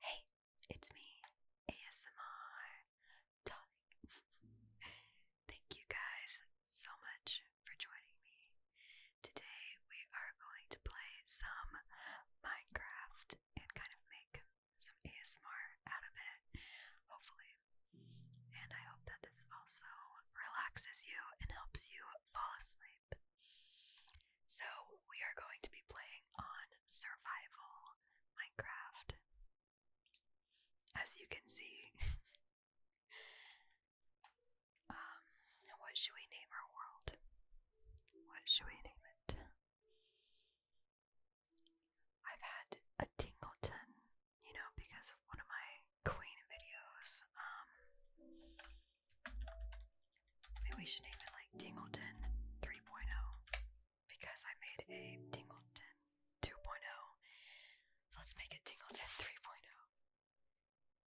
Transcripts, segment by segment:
Hey, it's me, ASMR Thank you guys so much for joining me. Today we are going to play some Minecraft and kind of make some ASMR out of it, hopefully. And I hope that this also relaxes you and helps you fall asleep. So, we are going to be playing on survival Minecraft. As you can see. um, what should we name our world? What should we name it? I've had a Tingleton, you know, because of one of my Queen videos. Um, Maybe we should name it like Tingleton 3.0 because I made a Tingleton 2.0. So let's make it Tingleton 3.0.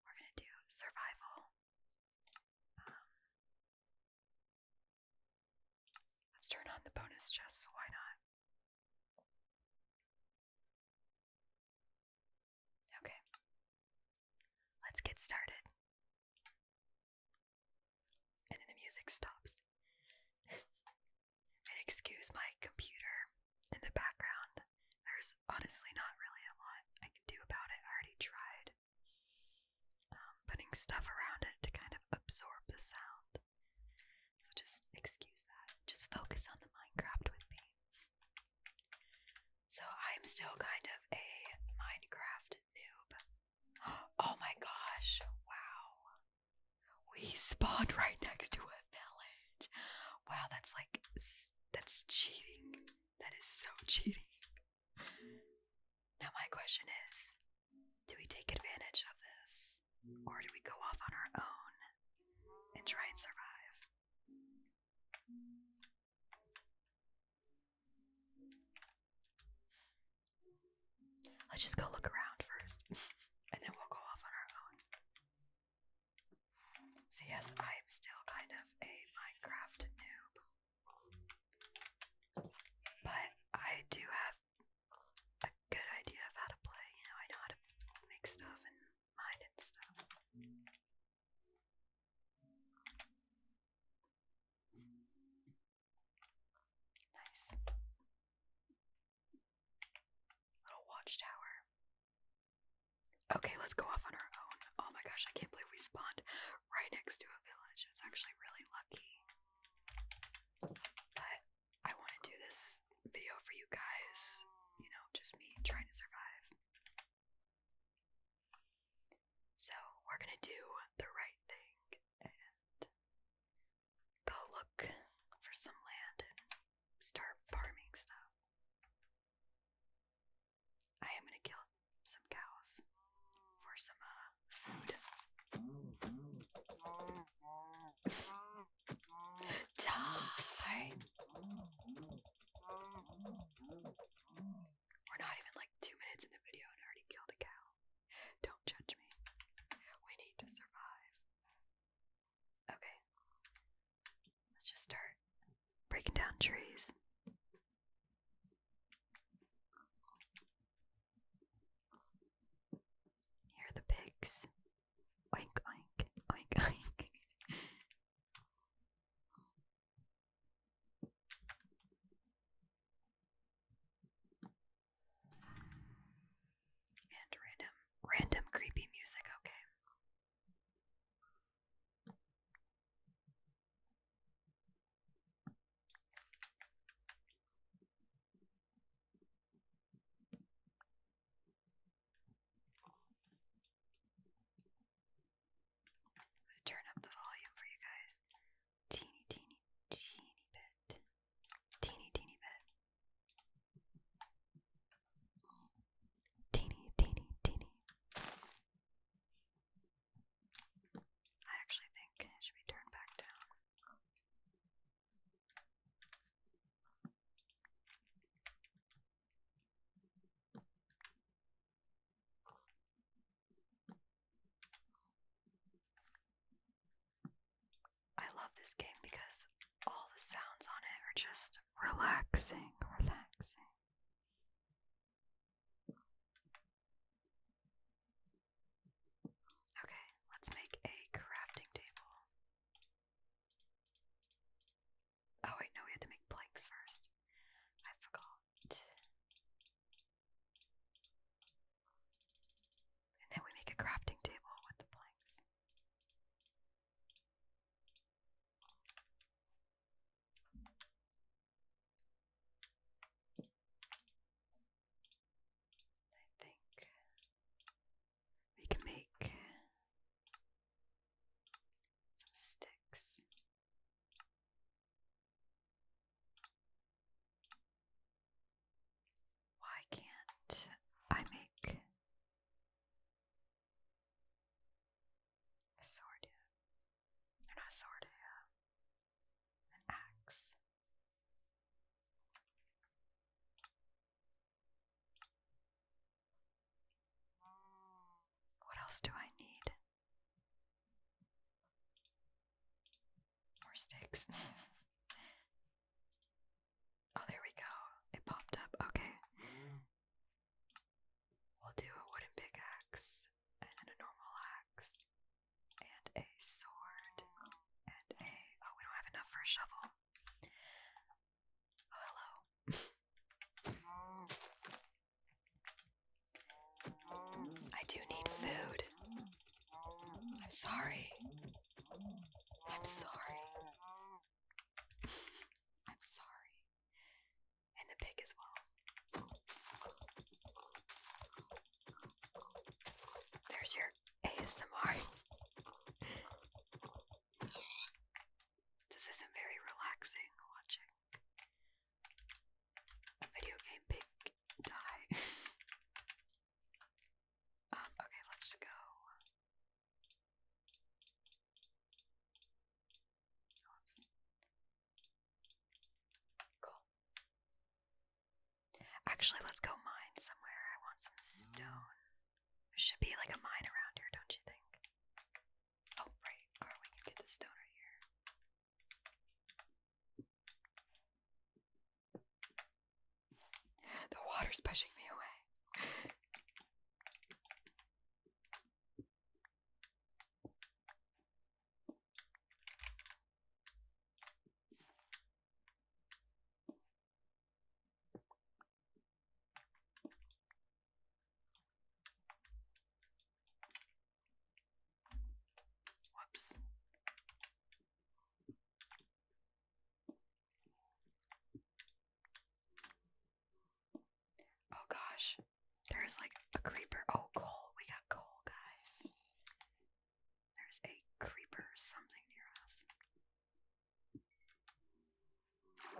We're gonna do survival. Um, let's turn on the bonus chest, why not? Okay, let's get started. And then the music stops. and excuse my computer in the background. There's honestly not really a lot I can do about it. I already tried um, putting stuff around it to kind of absorb the sound. So just excuse that. Just focus on the Minecraft with me. So I'm still kind of a Minecraft noob. Oh my gosh, wow. We spawned right next to a village. Wow, that's like, that's cheating. That is so cheating. Now, my question is do we take advantage of this? Or do we go off on our own and try and survive? Let's just go look around first, and then we'll go off on our own. So, yes, I'm still kind of a Minecraft noob, but I do have a good idea of how to play. You know, I know how to make stuff and mine and stuff. Nice. Little watchtower. Okay, let's go off on our own. Oh my gosh, I can't believe we spawned right next to a village. It's actually really lucky. But I want to do this video for you guys, you know, just me trying to survive. So we're gonna do the right thing and go look for some land and start farming stuff. I am gonna kill some cows for some uh, food. Die! We're not even like two minutes in the video and already killed a cow. Don't judge me. We need to survive. Okay. Let's just start breaking down trees. Here are the pigs. Oink, oink, oink, oink. And random, random creepy music, okay. I turn up the volume for you guys. Teeny, teeny, teeny bit. Teeny, teeny bit. Teeny, teeny, teeny. I actually think it should be turned back down. I love this game because all the sounds on it are just relaxing, relaxing. Okay, let's make a crafting table. Oh, wait, no, we have to make planks first. I forgot. And then we make a crafting table with the planks. I think we can make some sticks. Why can't I make a sword? not a sword, uh, an axe. What else do I need? More sticks. oh, there we go. It popped up. Okay. We'll do a wooden pickaxe, and a normal axe, and a sword, and a. Oh, we don't have enough for a shovel. Oh, hello. I do need food. I'm sorry. I'm sorry. I'm sorry. And the pig as well. There's your ASMR. this isn't very relaxing watching. Video game pig die. um, okay, let's go. Cool. Actually, let's go mine somewhere. I want some mm. stone. There should be like a mine around here, don't you think? Oh, right. Or we can get the stone right here. The water's pushing me away. Whoops. Oh gosh, there's like a creeper. Oh, coal. We got coal, guys. There's a creeper something near us. Okay,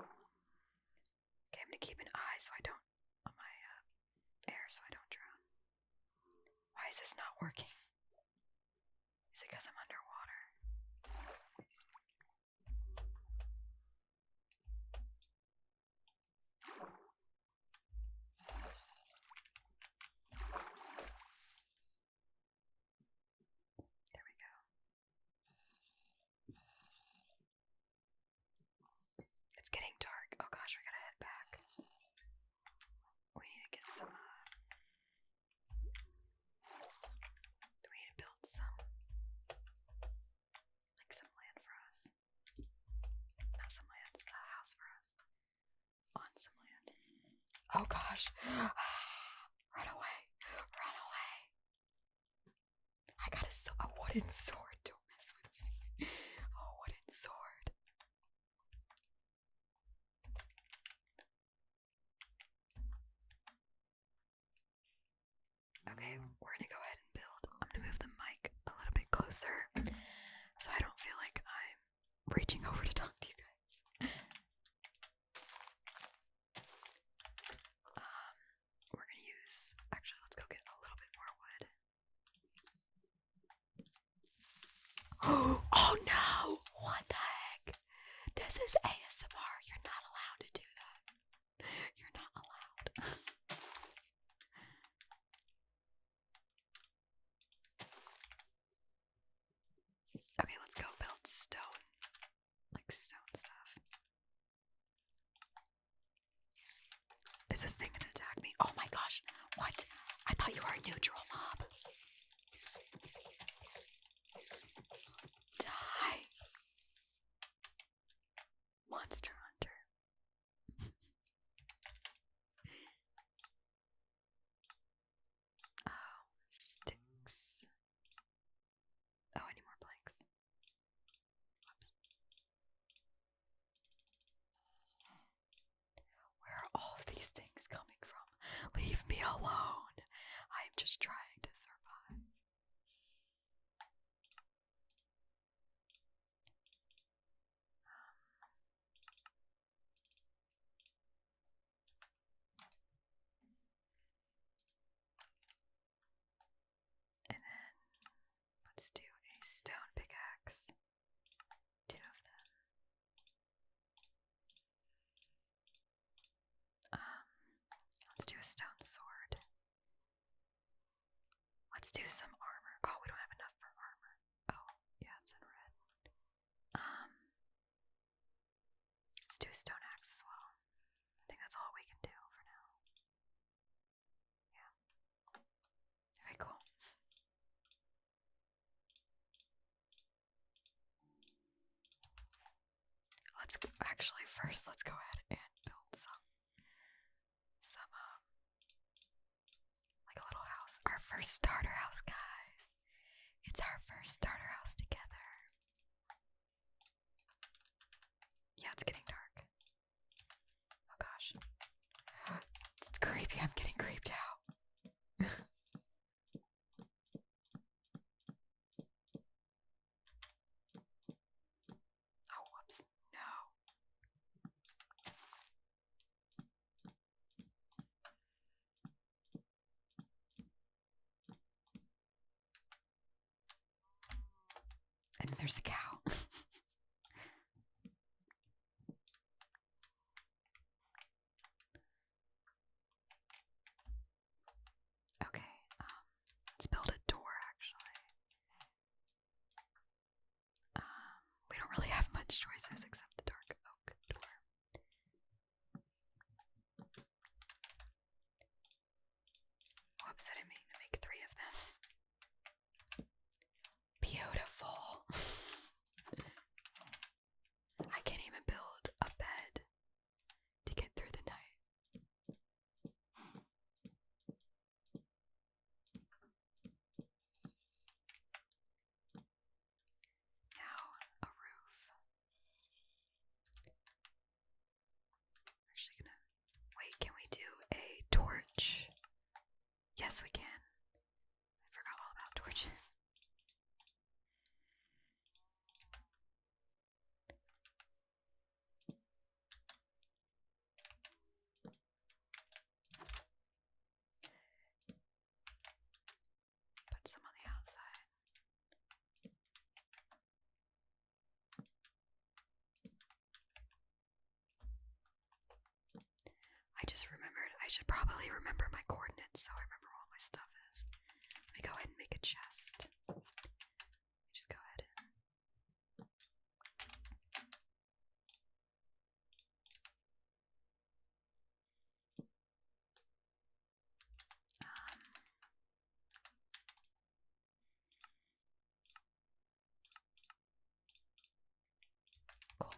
I'm gonna keep an eye so I don't on my um, air so I don't drown. Why is this not working? Is it because I'm underwater? There we go. It's getting dark. Oh gosh, we gotta head back. We need to get some. Uh, we need to build some, like some land for us. some land, a house for us. On some land. Oh gosh. Run away! Run away! I got a, so a wooden sword. Don't mess with me. A wooden sword. Okay, we're gonna go ahead and build. I'm gonna move the mic a little bit closer so I don't feel like I'm reaching over to talk to you guys. Um, we're gonna use actually let's go get a little bit more wood. oh no! What the heck? This is ASMR. You're not allowed to do that. You're not allowed. okay, let's go build stone. Like stone stuff. Is this thing gonna attack me? Oh my gosh, what? I thought you were a neutral mob. Die. Monster Hunter. oh, sticks. Oh, any more blanks? Where are all these things coming from? Leave me alone! I'm just trying to survive. Um, and then let's do a stone pickaxe two of them. Um, let's do a stone sword. Let's do some armor. Oh, we don't have enough for armor. Oh, yeah, it's in red. Um, let's do stone axe as well. I think that's all we can do for now. Yeah. Very cool. Let's actually first let's go ahead and build some some um like a little house. Our first starter house, guys. It's our first starter house together. Yeah, it's getting dark. Oh gosh. It's creepy. I'm getting creeped out. oh, whoops. No. And there's a cow. Okay, um, let's build a door actually. Um, we don't really have much choices except the dark oak door. Whoops, I mean to make three of them. Beautiful. I can't even build a bed to get through the night. Now, a roof. actually gonna wait, can we do a torch? Yes, we can. I forgot all about torches. Put some on the outside. I just remembered I should probably remember my coordinates so I remember where all my stuff is. Let me go ahead and make a chest. Just go ahead Cool.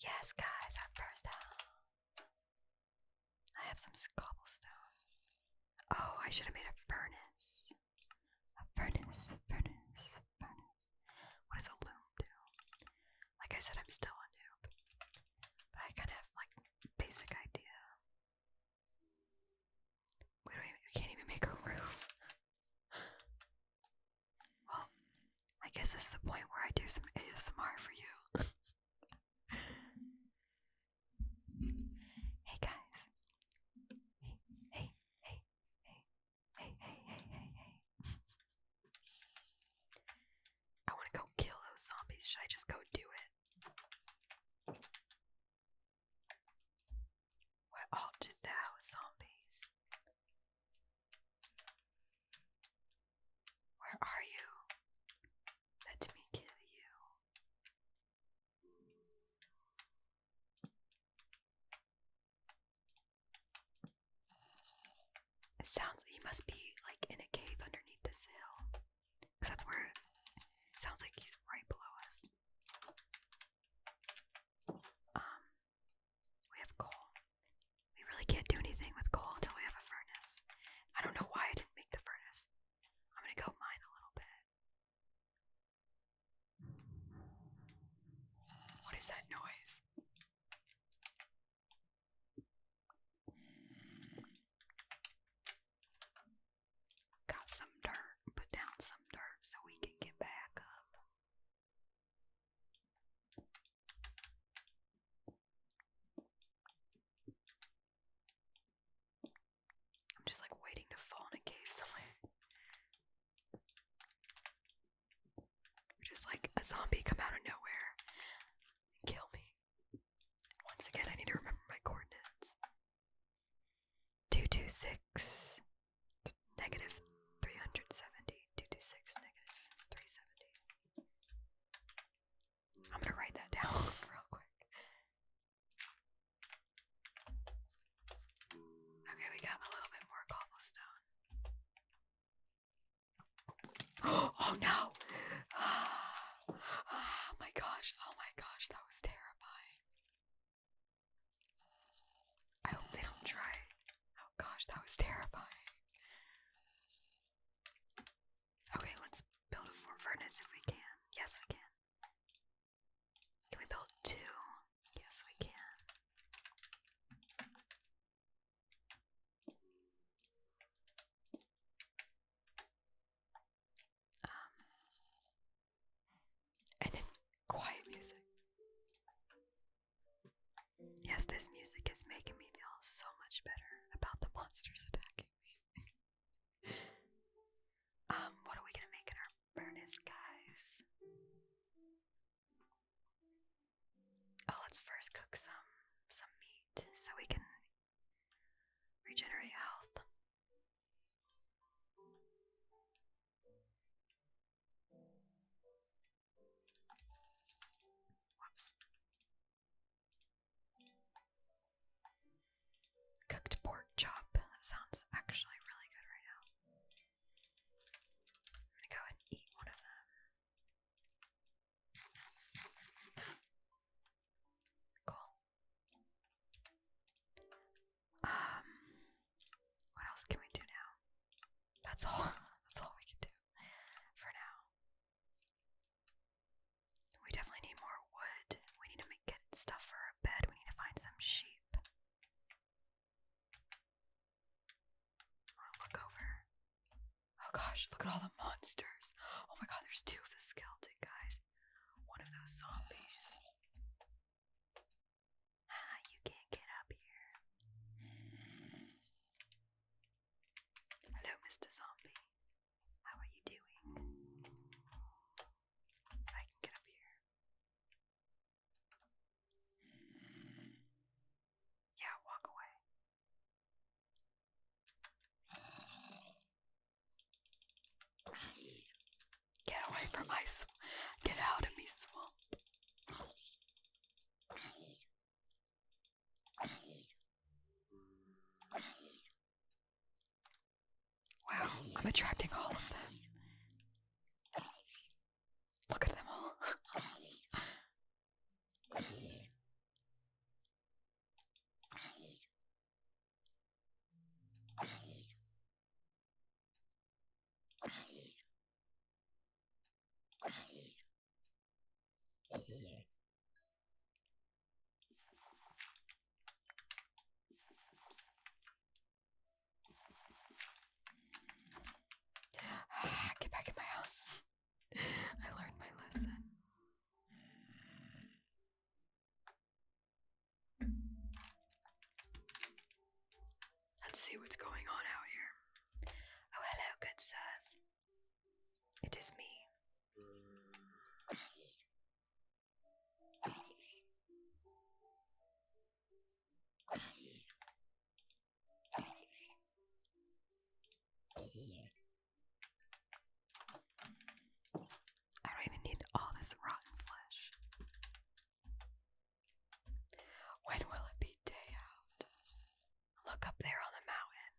Yes, guys, first out. I have some cobblestone. Oh, I should have made a furnace. A furnace, furnace, furnace. What does a loom do? Like I said, I'm still a noob. But I kind of like basic idea. We can't even make a roof. Well, I guess this is the point where I do some ASMR for you. hey guys. hey, hey, hey, hey, hey, hey, hey. I want to go kill those zombies. Should I just go do it? Where art thou, zombies? Where are you? Let me kill you. sounds he must be like in a cave underneath this hill. Cause that's where sounds like he's right below us. Um, we have coal. We really can't do anything with coal until we have a furnace. I don't know why I didn't make the furnace. I'm gonna go mine a little bit. What is that noise? got some dirt, put down some dirt so we can get back up. I'm just like waiting to fall in a cave somewhere. Just like a zombie come out of nowhere and kill me. Once again, I need to remember my coordinates. 226 negative 370. 226 negative 370. I'm going to write that down real quick. Okay, we got a little bit more cobblestone. Oh no! Oh my gosh, oh my gosh, that was terrifying. I hope they don't try. Oh gosh, that was terrifying. Okay, let's build a furnace if we can. Yes, we can. Can we build two? Yes, we can. Um, and then quiet music. Yes, this music is making me feel so much better about the monsters attacking me. um, what are we gonna make in our furnace, guys? Oh, let's first cook some some meat so we can regenerate health. Cooked pork chop. sounds actually really good right now. I'm gonna go and eat one of them. Cool. Um, what else can we do now? That's all. That's all we can do for now. We definitely need more wood. We need to make, stuff for our bed. We need to find some sheep. look over. Oh gosh, look at all the monsters. Oh my god, there's two of the skeleton guys. One of those zombies. Ah, you can't get up here. Hello, Mr. Zombie. How are you doing? I can get up here. Yeah, walk away. Get away from my swamp. Get out of my swamp. Wow, I'm attracting all of them. Look at them all. Get back in my house. I learned my lesson. Let's see what's going on out here. Oh, hello, good sirs. It is me. I don't even need all this rotten flesh. When will it be day out? Look up there on the mountain.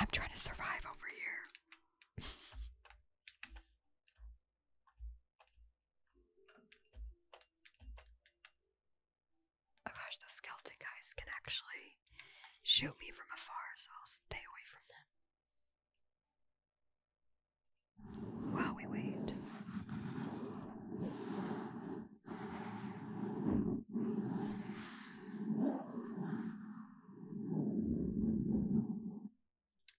I'm trying to survive over here. Oh gosh, those skeleton guys can actually shoot me from afar, so I'll stay away from them. While we wait.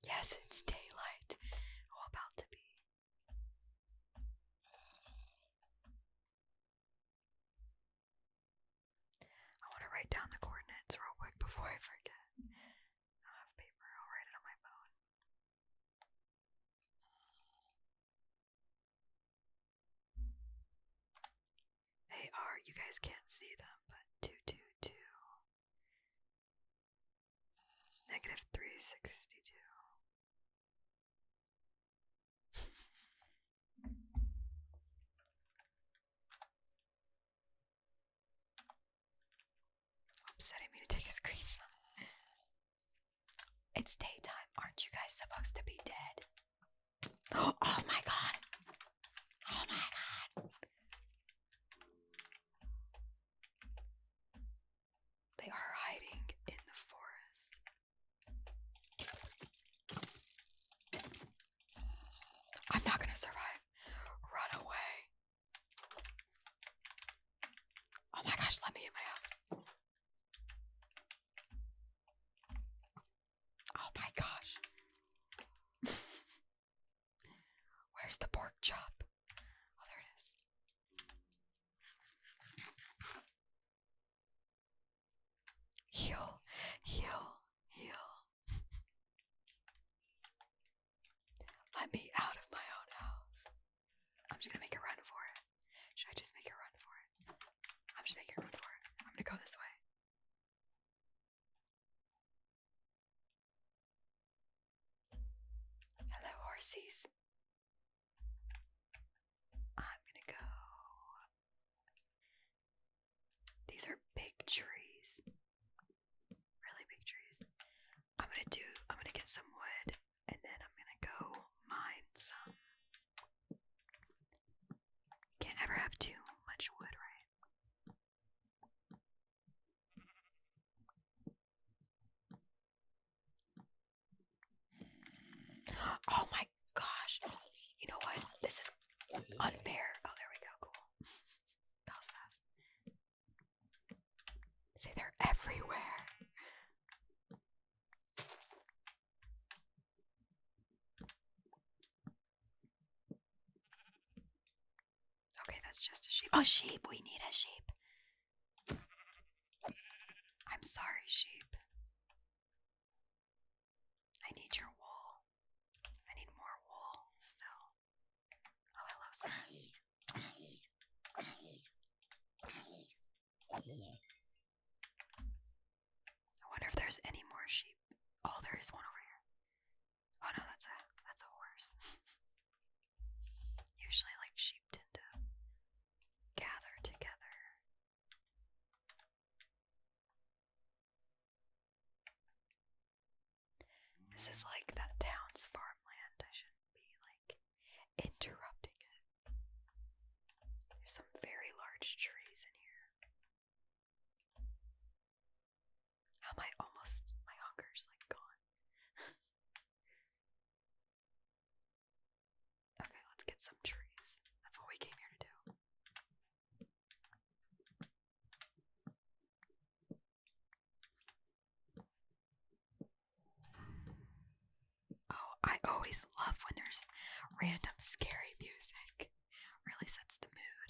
Yes, it's daylight. about to be. I want to write down the coordinates real quick before I forget. I have paper, I'll write it on my phone. They are, you guys can't see them, but 222, negative 362, I didn't mean to take a screenshot. It's daytime. Aren't you guys supposed to be dead? oh my god. Oh my god. They are hiding in the forest. I'm not gonna survive. Run away. Oh my gosh, let me in my house. Oh my gosh. Where's the pork chop? Oh, there it is. Heal, heal, heal. Let me out of my own house. I'm just gonna make a run for it. Should I just make a run for it? I'm just making a run for it. I'm gonna go this way. Hello, horses. I'm gonna go. These are big trees. Really big trees. I'm gonna do, I'm gonna get some wood and then I'm gonna go mine some. Can't ever have too much wood, right? Oh my gosh. You know what? This is unfair. Oh, there we go. Cool. Say they're everywhere. Okay, that's just a sheep. Oh, sheep. We need a sheep. I'm sorry, sheep. I need your wool. I need more wool still. Oh, I love that. I wonder if there's any more sheep. Oh, there is one over here. Oh no, that's a that's a horse. Usually, like sheep tend to gather together this is like that town's farmland. I shouldn't be like interrupting it. There's some very large trees in here. How am I almost my hunger's like gone? Okay, let's get some trees. That's what we came here to do. Oh, I always love when there's random scary music. Really sets the mood.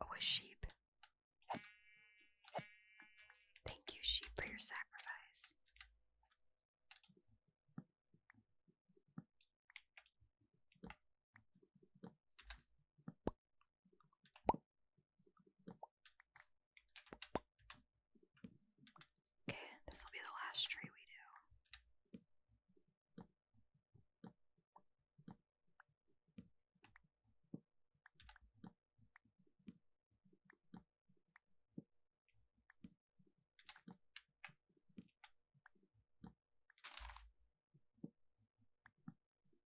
Oh, sheep. Thank you, sheep, for your sacrifice. Okay, this will be the last tree we do.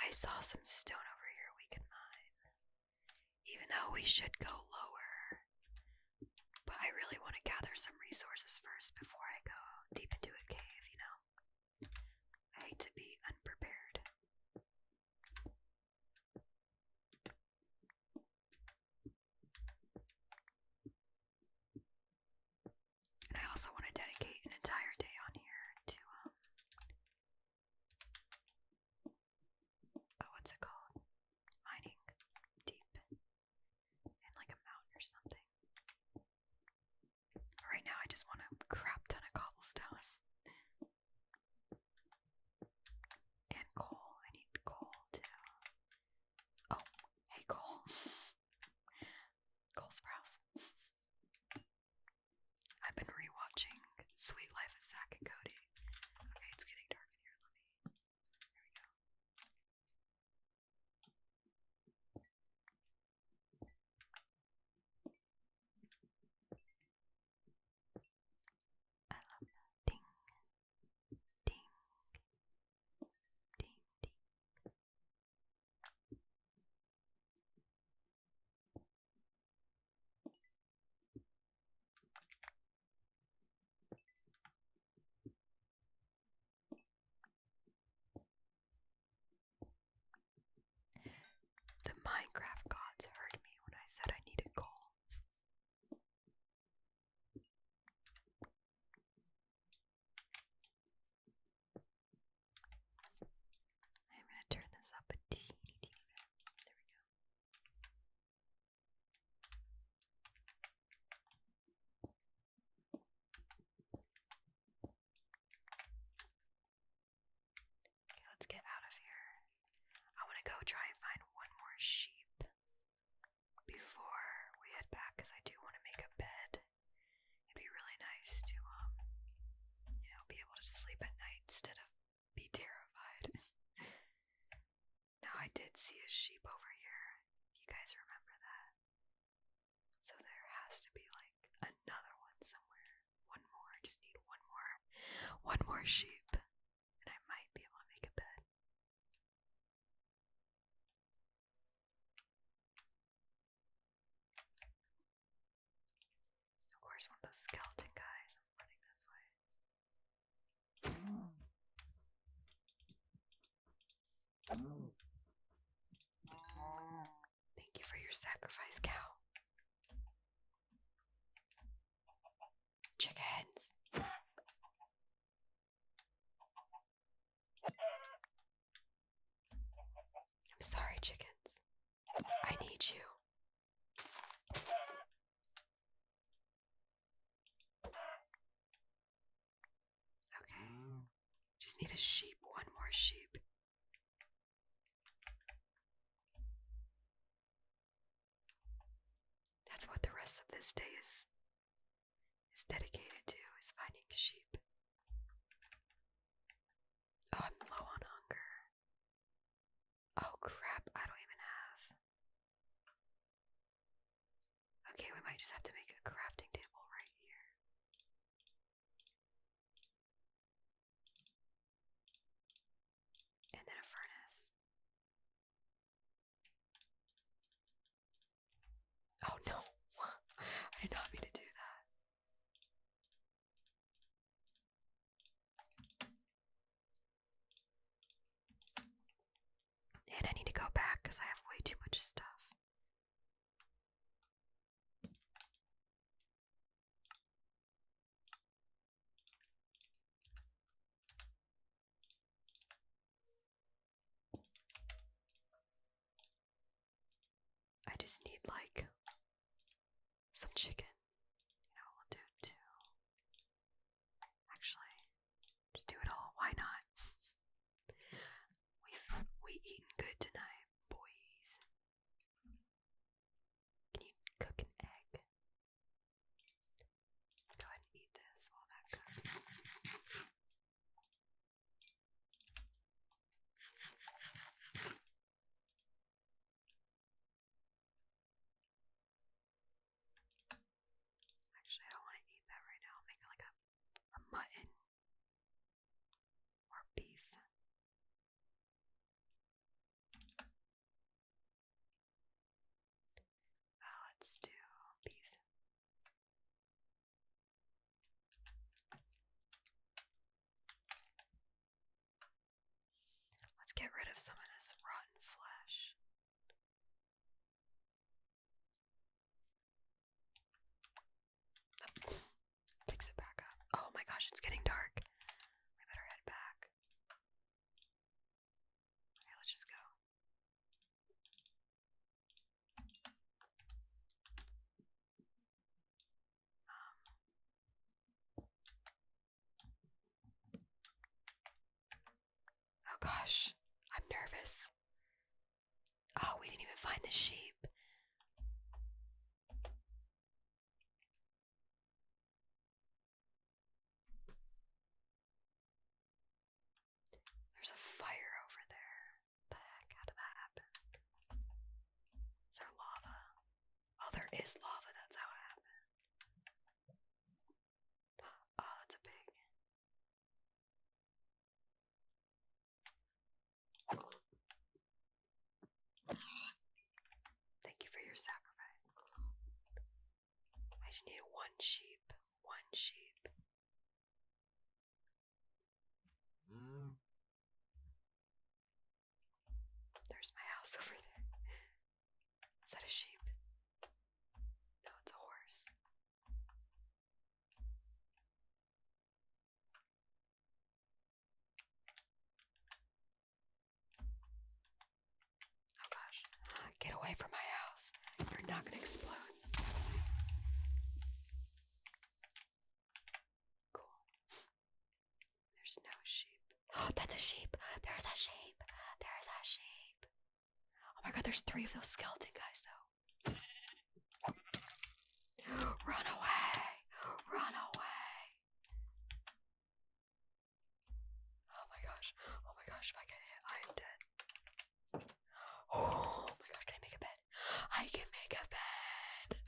I saw some stone over here we can mine. Even though we should go lower. But I really want to gather some resources first before I go deep into a cave, you know? I hate to be unprepared. And I also want to dedicate an entire day on here to um, oh, what's it called? Mining deep in like a mountain or something. Right now, I just want a crap ton of cobblestone and coal. I need coal too. Oh, hey, coal. coal sprouts. I've been rewatching Sweet Life of Zach and Cody. Okay, it's getting dark in here. Let me. There we go. Ding. Ding. Ding, ding. The Minecraft gods heard me when I said I needed coal. I'm going to turn this up a teeny, bit. There we go. Okay, let's get out of here. I want to go try and find one more sheep before we head back I do want to make a bed. It'd be really nice to um you know, be able to sleep at night instead of be terrified. now, I did see a sheep over here. You guys remember that? So there has to be like another one somewhere. One more. I just need one more. One more sheep. And I might be able to make a bed. Of course, one of those skeleton guys. I'm running this way. Thank you for your sacrifice, cow. Chickens. I'm sorry, chickens. I need you. Okay. Mm. Just need a sheep, one more sheep. That's what the rest of this day is is dedicated to is finding sheep. Oh, I'm low on hunger. Oh crap, I don't even have. Okay, we might just have to make a crafting table right here. And then a furnace. Oh no, I did not mean to do that. And I need to go back because I have way too much stuff. I just need like some chicken. You know, we'll do two. Actually, just do it all. Why not? We've we eaten good tonight, boys. Can you cook an egg? Go ahead and eat this while that cooks. Actually, I don't want to eat that right now. I'm making like a, a mutton or beef. Uh, let's do beef. Let's get rid of some of this rotten flesh. Oh, it back up. Oh my gosh, it's getting dark. We better head back. Okay, let's just go. Oh gosh, I'm nervous. Oh, we didn't even find the sheep. There's a fire over there. the heck? How did that happen? Is there lava? Oh, there is lava. That's how it happened. Oh, that's a pig. Thank you for your sacrifice. I just need one sheep. One sheep. Mm. There's my house over there. Is that a sheep? No, it's a horse. Oh gosh. Get away from my house. You're not going to explode. Cool. There's no sheep. Oh, that's a sheep. There's a sheep. There's a sheep. Oh my god, there's three of those skeleton guys though. Run away. Run away. Oh my gosh. Oh my gosh, if I get hit, I am dead. Oh my gosh, I make a bed? I can make a bed.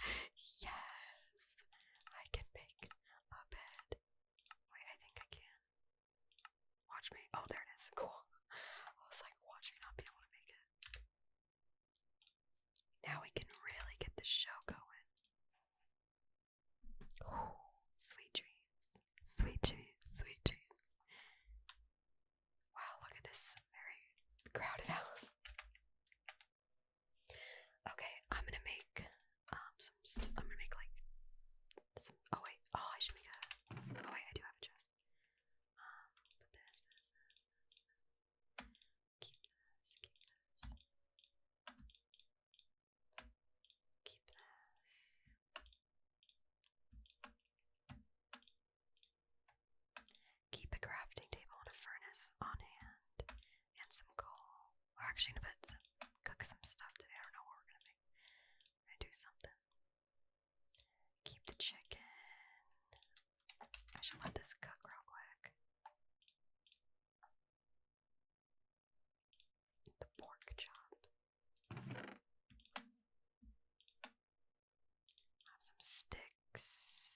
Yes. I can make a bed. Wait, I think I can. Watch me. Oh, there it is. Cool. I was like, watch me not be able to make it. Now we can really get the show going. sweet dreams. Sweet dreams. Sweet dreams. Wow, look at this very crowded house. Okay, I'm gonna make um I'm gonna make like Oh wait. Oh, I should make a. Oh wait, I do have a chest. Um, keep this. Keep this. Keep this. Keep a crafting table and a furnace on hand and some coal. We're actually gonna put some, cook some stuff today. I don't know what we're gonna make. gonna do something. Keep the chicken. I should let this cook real quick. The pork chop. Have some sticks.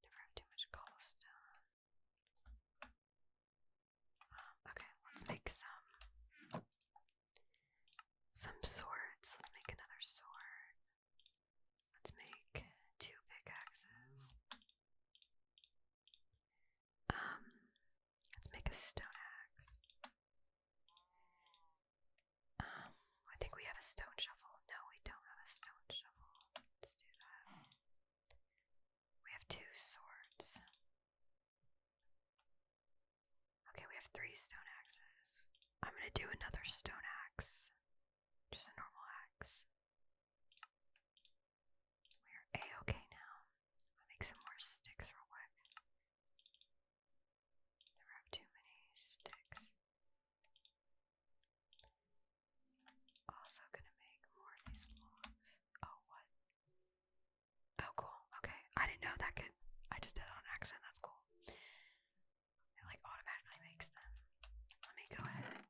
Never have too much cobblestone okay, let's make some some swords. Let's make another sword. Let's make two pickaxes. Um, let's make a stone axe. Um, I think we have a stone shovel. No, we don't have a stone shovel. Let's do that. We have two swords. Okay, we have three stone axes. I'm gonna do another stone axe. Just a normal axe. We are A okay now. make some more sticks real quick. Never have too many sticks. Also gonna make more of these logs. Oh, what? Oh, cool. Okay, I didn't know that could. I just did it on accent. That's cool. It like automatically makes them. Let me go ahead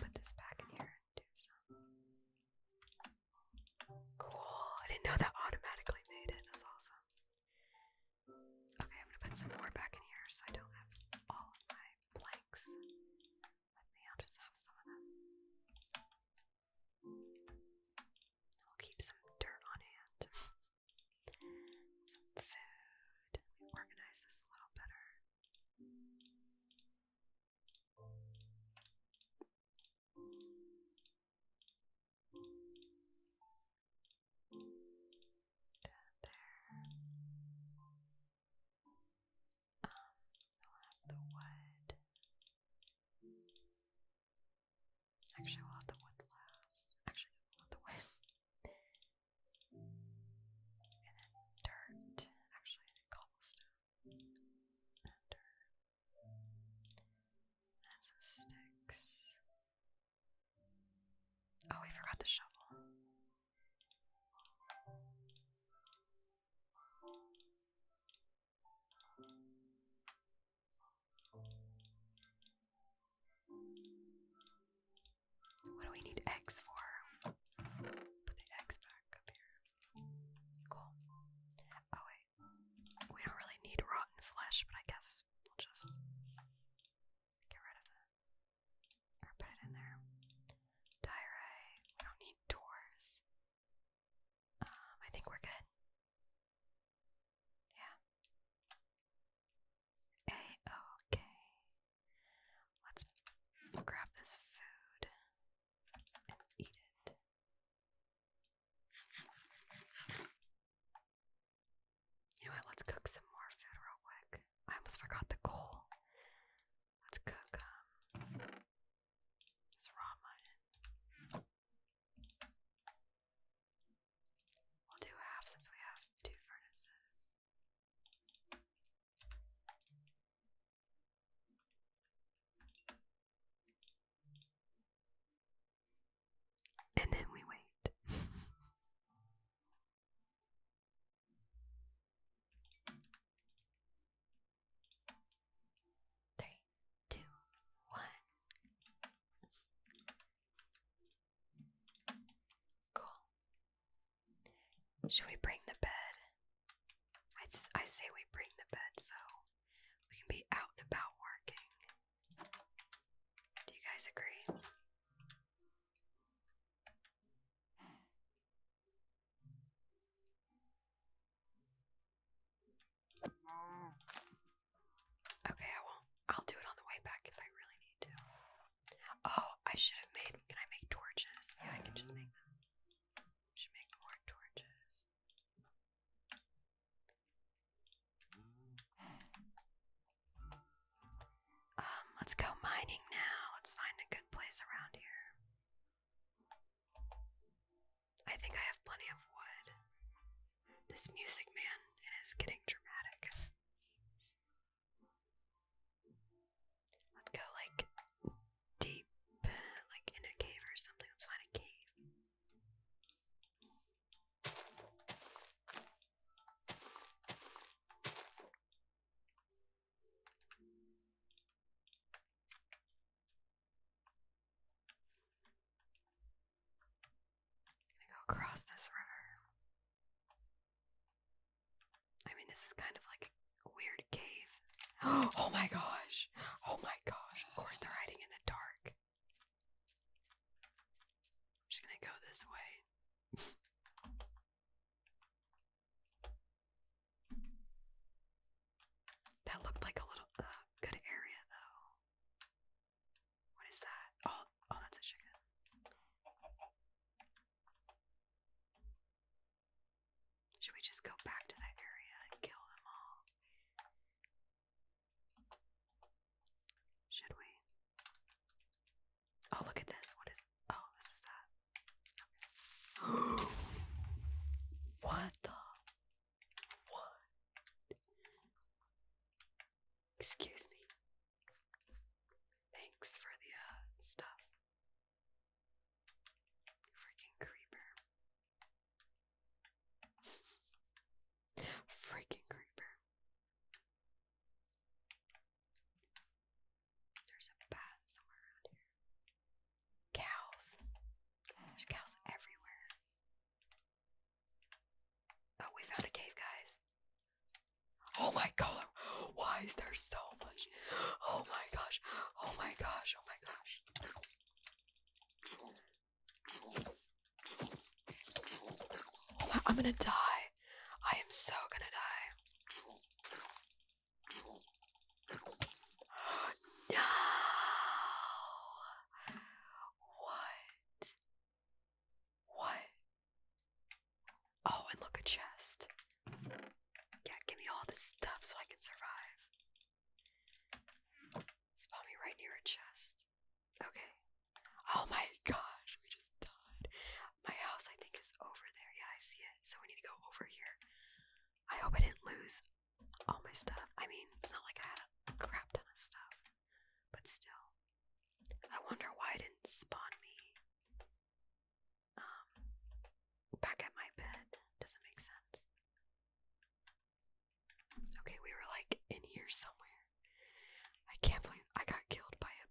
put this back in here and do some. Cool. I didn't know that automatically made it. That's awesome. Okay, I'm gonna put some more back in here so I don't have all of my blanks. Let me, I'll just have some of them. We'll keep some dirt on hand. some food. Let organize this a little better. That there. Um, we'll have the wood. Actually, we'll have the wood last. Actually, we'll have the wood. and then dirt. Actually, cobblestone. And dirt. And some sticks. Oh, we forgot the shovel. What do we need X for? Put the X back up here. Cool. Oh, wait. We don't really need rotten flesh, but I guess we'll just get rid of put it in there. Diorite. We don't need doors. Um, I think we're good. Yeah. A-OK. let us grab this food and eat it. You know what? Let's cook some more food real quick. I almost forgot the coal. Let's cook um raw We'll do half since we have two furnaces. And then we wait. Three, two, one. Cool. Should we bring the bed? I, I say we bring the bed so we can be out and about working. Do you guys agree? Mm. Okay, I won't. I'll do it on the way back if I really need to. Oh, I should have made. Can I make torches? Yeah, I can just make them. Should make more torches. Um, let's go mining now. Let's find a good place around here. I think I have plenty of wood. This music man, it is getting dramatic. Let's go like deep, like in a cave or something. Let's find a cave. I'm gonna go across this river. I mean, this is kind of like a weird cave. Oh my gosh! Oh my gosh! Of course, they're hiding in the dark. I'm just gonna go this way. That looked like a little uh, good area, though. What is that? Oh, oh, that's a chicken. Should we just go back to that area and kill them all? Should we? Oh, look at this. What is Oh, this is that. what the? What? Excuse me. Thanks for the uh, stuff. Freaking creeper. Freaking creeper. There's a bat somewhere around here. Cows. There's cows everywhere. Oh, we found a cave, guys. Oh my god. Why is there so much? Oh my gosh. Oh my gosh. Oh my gosh. Oh my, I'm gonna die. I am so gonna die no! What? What? Oh, and look, a chest. Yeah, give me all this stuff so I can survive. Spawn me right near a chest. Okay. Oh my gosh, we just died. My house, I think, is over there. Yeah, I see it. So we need to go over here. I hope I didn't lose all my stuff. I mean, it's not like I had a crap ton of stuff, but still. I wonder why it didn't spawn me um, back at my bed. Doesn't make sense. Okay, we were like in here somewhere. I can't believe I got killed by a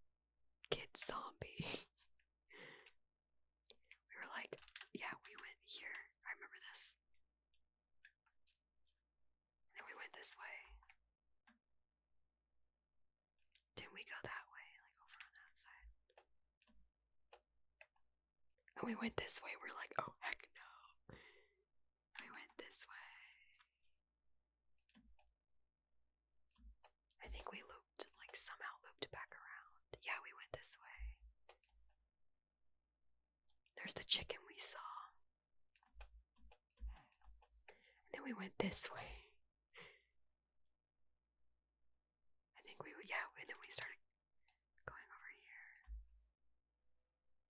kid zombie. We were like, yeah, we went here. I remember this. And we went this way. Didn't we go that way? Like over on that side. And we went this way. We're like, oh, heck no. We went this way. I think we looped, like somehow looped back around. Yeah, we went this way. There's the chicken we saw. then we went this way. I think we, yeah, and then we started going over here.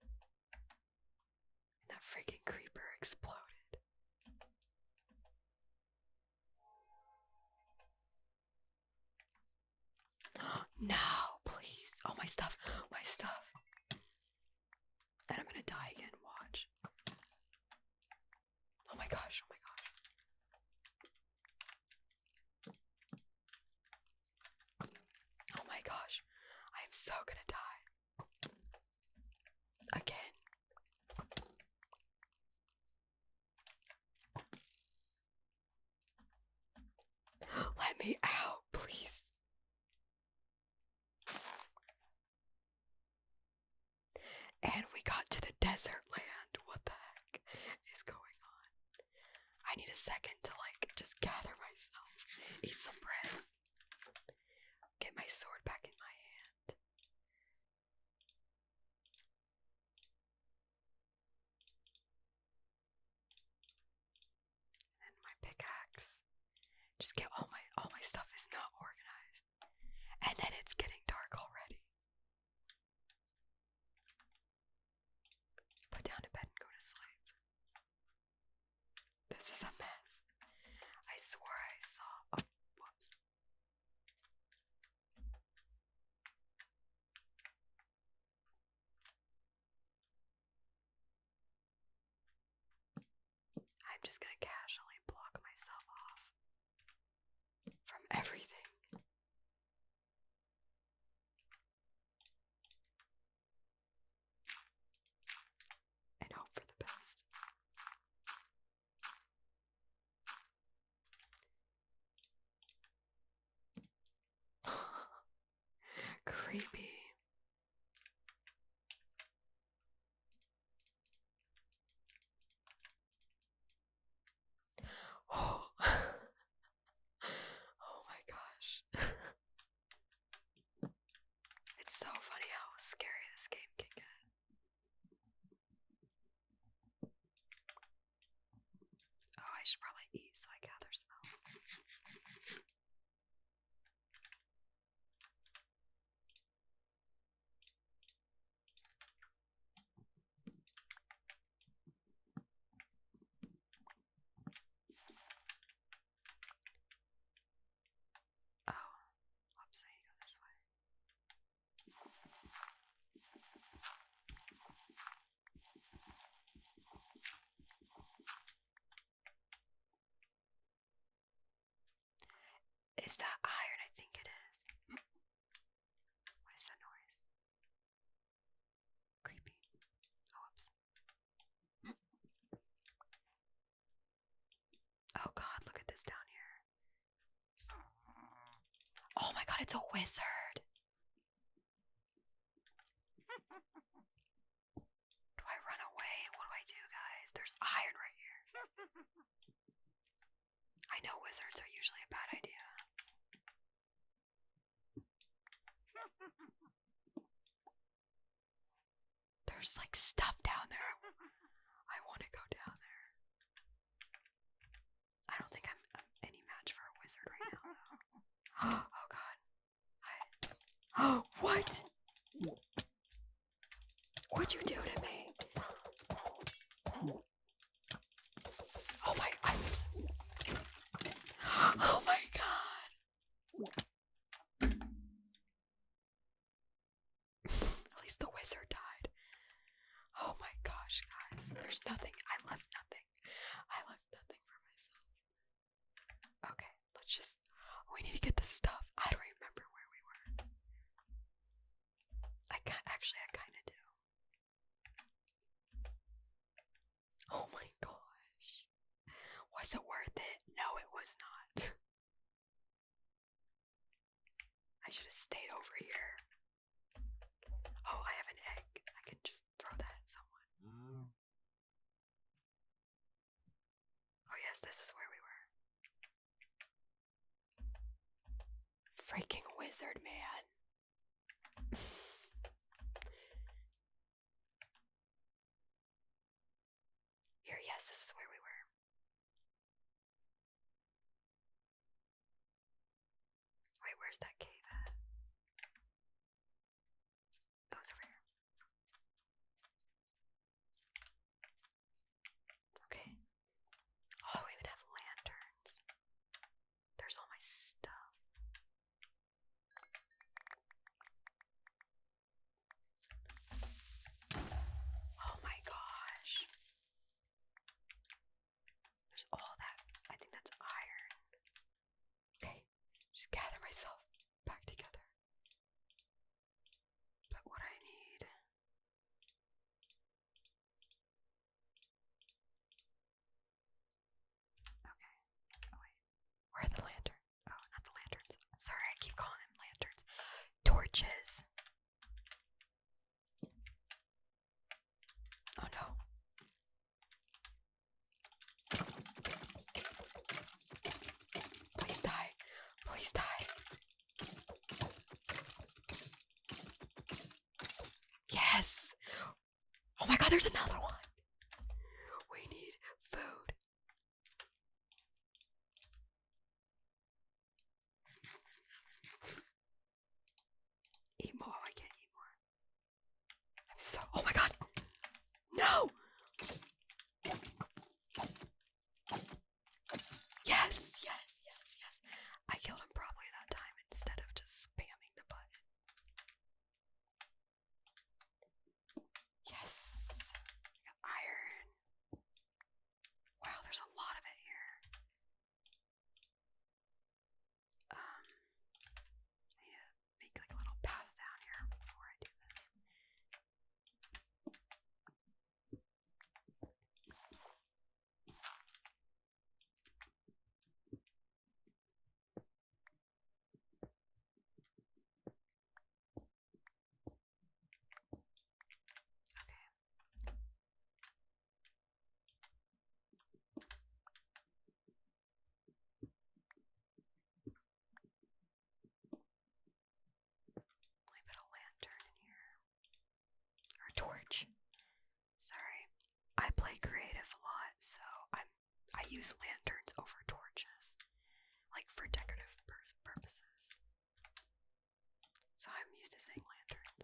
And that freaking creeper exploded no, please. Oh, my stuff. My stuff. And I'm gonna die again. Watch. Oh my gosh. Oh my gosh. Oh my gosh. I am so gonna die. Again. Let me out, please. And we got to the desert land. What the heck is going on? I need a second to like just gather myself, eat some bread, get my sword back in my hand. And my pickaxe. Just get all my all my stuff is not organized. And then it's getting dark already. Put down a bed and go to sleep. This is a mess. I swore I saw. whoops. I'm just going to casually block myself off from everything. And hope for the best. Creepy. Oh. my gosh. it's so funny how scary this game can get. Oh, I should probably eat so I gather some. Oh, whoops, go this way. Is that iron? I think it is. What is that noise? Creepy. Oh, whoops. Oh, God, look at this down here. Oh my god, it's a wizard. Do I run away? What do I do, guys? There's iron right here. I know wizards are usually a bad idea. There's like stuff down there. I want to go down there. I don't think I'm, I'm any match for a wizard right now, though. oh god. I... Oh, what? What'd you do to me? Oh my, I'm. Oh my god! At least the wizard died. Oh my gosh, guys. There's nothing. I left nothing. I left nothing for myself. Okay, let's just. We need to get this stuff. I don't remember where we were. I can't. Actually, I kind of do. Oh my gosh. Was it worth it? No, it was not. I should have stayed over here. Oh, I have an egg. I can just throw that at someone. Mm. Oh, yes, this is where we were. Freaking wizard man. Here, yes, this is where we were. Wait, where's that cave at? Oh, it's Okay. Oh, we would have lanterns. There's all my stuff. Oh my gosh. There's all that. I think that's iron. Okay, just gather myself back together. But what I need. Okay. Oh, wait. Where are the lanterns? Oh, not the lanterns. Sorry, I keep calling them lanterns. Torches. Oh no. Please die. Please die. Yes. Oh my god, there's another one. We need food. Eat more. I can't eat more. I'm so. Oh my god. No! Yes, yes, yes, yes. I killed him probably that time instead of just spamming the button. Yes. iron. Wow, there's a lot of it here. Um, I need to make like a little path down here before I do this. Okay. I put a lantern in here. Or torch. Sorry. I play creative a lot, so I'm I use lanterns over torches. Like for decorative purposes. So I'm used to saying lanterns.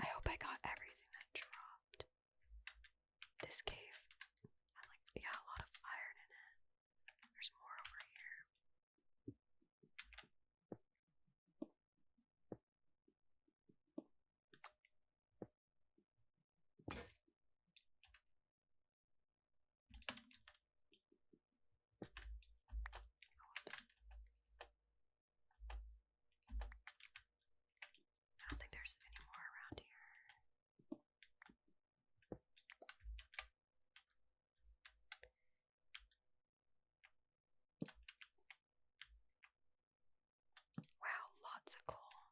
I hope I got everything that dropped. This cave had like yeah, a lot of iron in it. There's more over here. I don't think there's any more around here. Wow, lots of coal.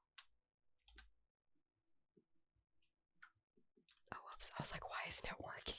Oh, whoops. I was like, why isn't it working?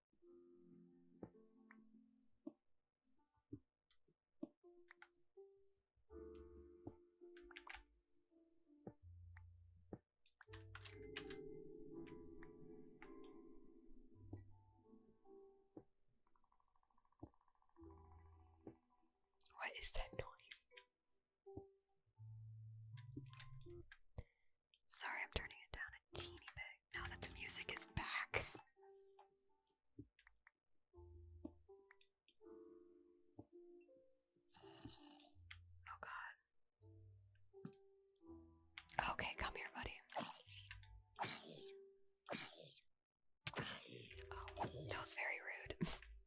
What is that noise? Sorry, I'm turning it down a teeny bit now that the music is back. Oh god. Okay, come here, buddy. Oh, that was very rude.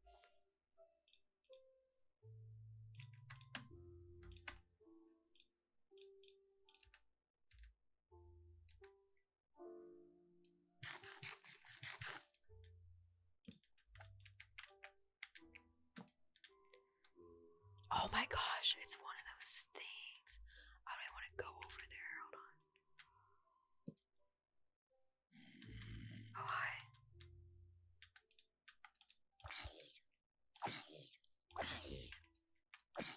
Oh my gosh, it's one of those things. I don't want to go over there. Hold on. Oh, hi.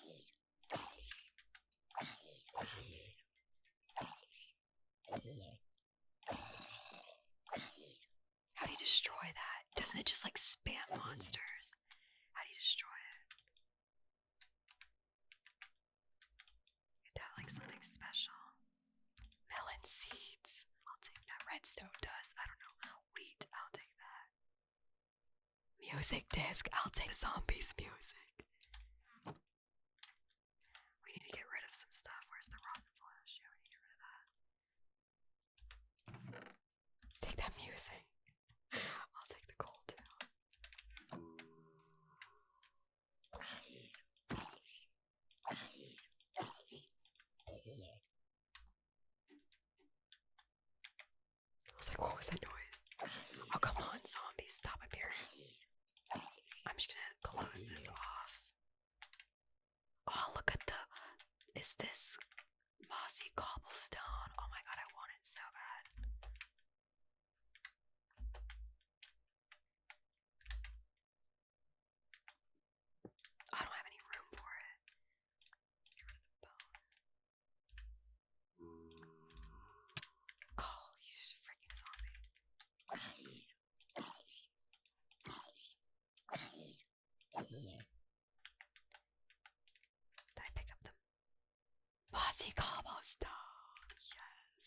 How do you destroy that? Doesn't it just like spam monsters? How do you destroy it? Is that like something special? Melon seeds. I'll take that. Redstone dust. I don't know. Wheat. I'll take that. Music disc. I'll take the zombies music. We need to get rid of some stuff. Where's the rotten flesh? we need to get rid of that. Let's take that music. I'll take the gold I was like, what was that noise? Oh, come on, zombies, stop appearing. I'm just gonna close this off. Oh, look at the. Is this mossy cobblestone? Oh my god, I want it so bad. I don't have any room for it. Oh, he's freaking Bossy cobblestone? Yes.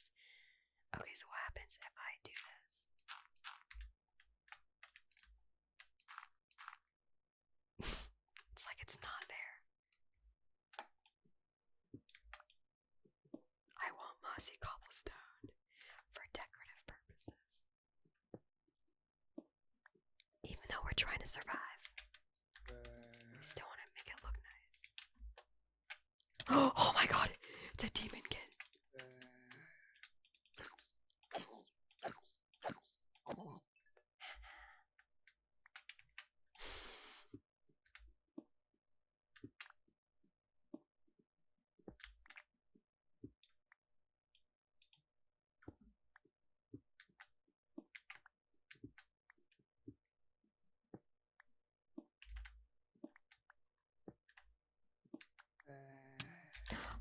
Okay, so what happens if I do this? it's like it's not there. I want mossy cobblestone for decorative purposes. Even though we're trying to survive, we still want to make it look nice. Oh, my god, it's a demon kid.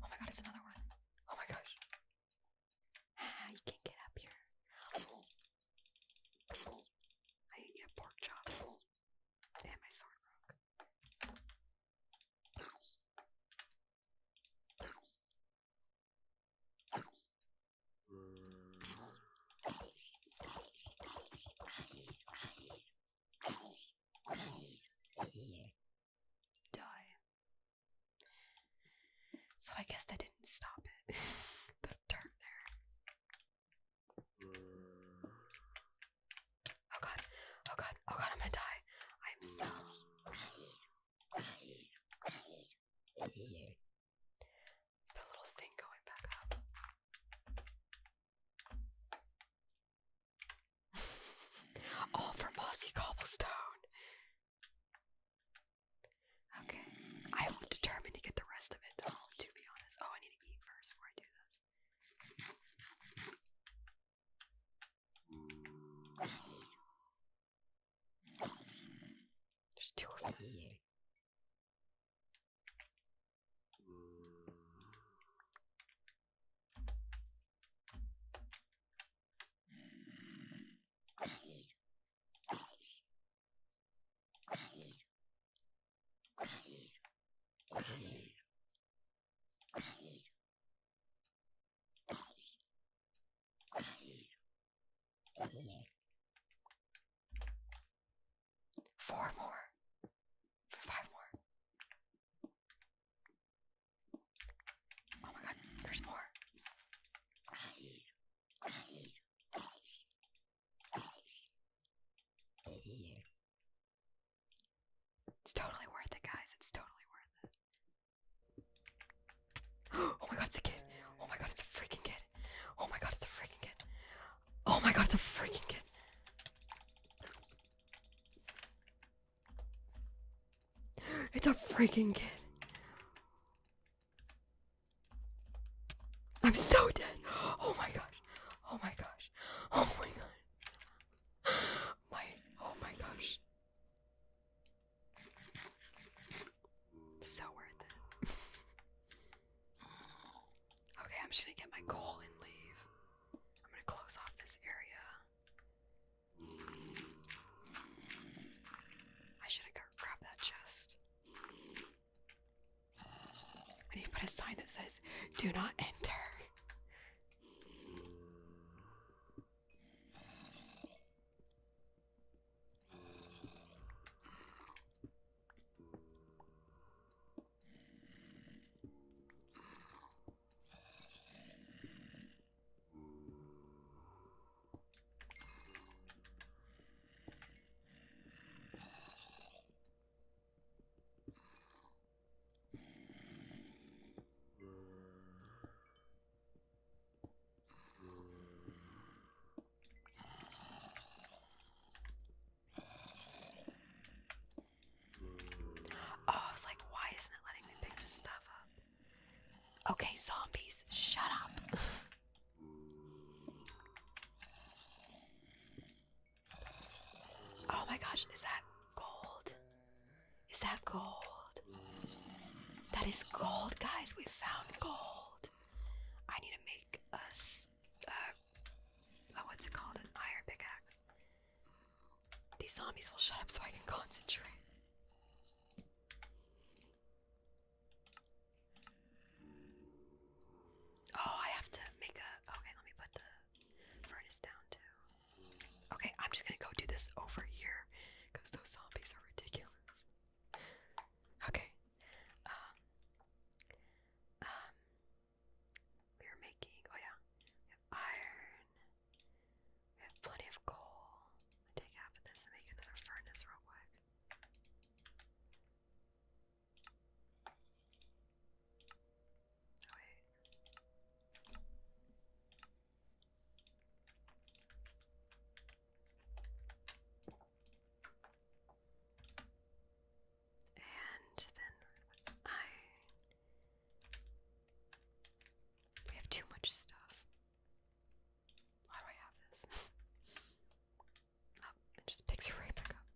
Oh my god, it's another one. Oh my gosh. Ah, you can't get up here. I need to get a pork chop. And my sword broke. Die. So I guess that didn't stop it. the dirt there. Oh god. Oh god. Oh god, I'm gonna die. I'm so the little thing going back up. All for mossy cobblestone. Okay. I am determined to get the rest of it though, to be honest. Oh, I need to eat first before I do this. There's two of Four more. For five more. Oh my god, there's more. It's totally worth it, guys. It's totally worth it. Oh my god, it's a kid. Oh my god, it's a freaking kid. Oh my god, it's a freaking kid. Oh my god, it's a freaking kid. It's a freaking kid. I'm so dead. Oh my gosh. Oh my gosh. Oh my god. My oh my gosh. So worth it. okay, I'm just gonna get my call and leave. I'm gonna close off this area. I should have go grab that chest. I need to put a sign that says, do not enter. Oh, I was like, why isn't it letting me pick this stuff up? Okay, zombies, shut up. oh my gosh, is that gold? Is that gold? That is gold, guys. We found gold. I need to make us. a oh, what's it called? An iron pickaxe. These zombies will shut up so I can concentrate. Oh, I have to make a. Okay, let me put the furnace down too. Okay, I'm just gonna go do this over here because those zombies are ridiculous. Okay. Um. Um. We are making. Oh yeah. iron. We have plenty of coal. take half of this and make another furnace real quick. Oh, wait. And then what's have too much stuff. Why do I have this? it just picks it right back up.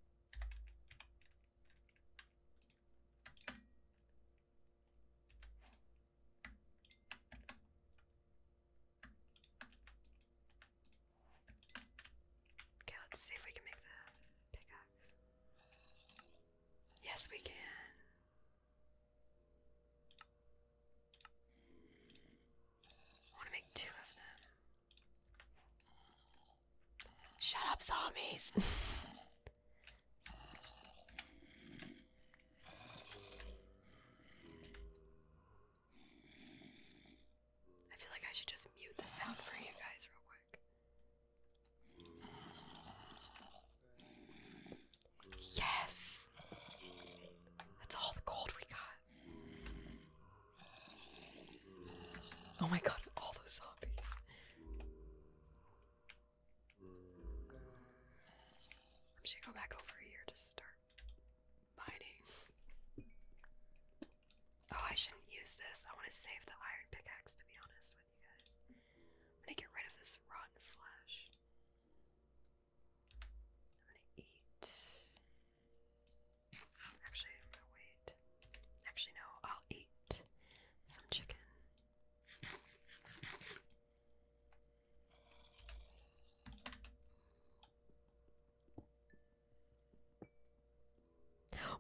Okay, let's see if we can make the pickaxe. Yes, we can. I want to make two of them. Shut up, zombies! I feel like I should just mute the sound for you guys real quick. Yes! That's all the gold we got. Oh my god, all the zombies. I'm gonna go back over here to start mining. Oh, I shouldn't use this. I want to save the iron pickaxe, to be honest with you guys. I'm gonna get rid of this rotten flesh. I'm gonna eat. Actually, I'm gonna wait. Actually, no, I'll eat some chicken.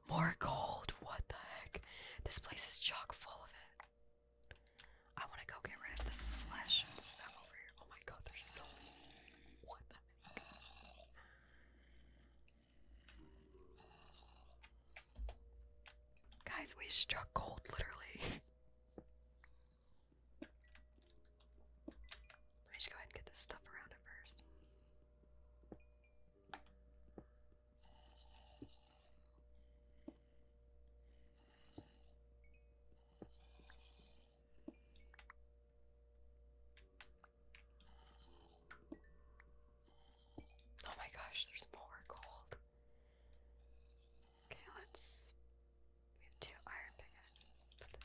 More gold! What the heck? This place is chock full of it. I want to go get rid of the flesh and stuff over here. Oh my god, there's so What the heck? Guys, we struck gold literally. Let me just go ahead and get this stuff around it first. Oh my gosh, there's more gold. Okay, let's. We iron pickaxes.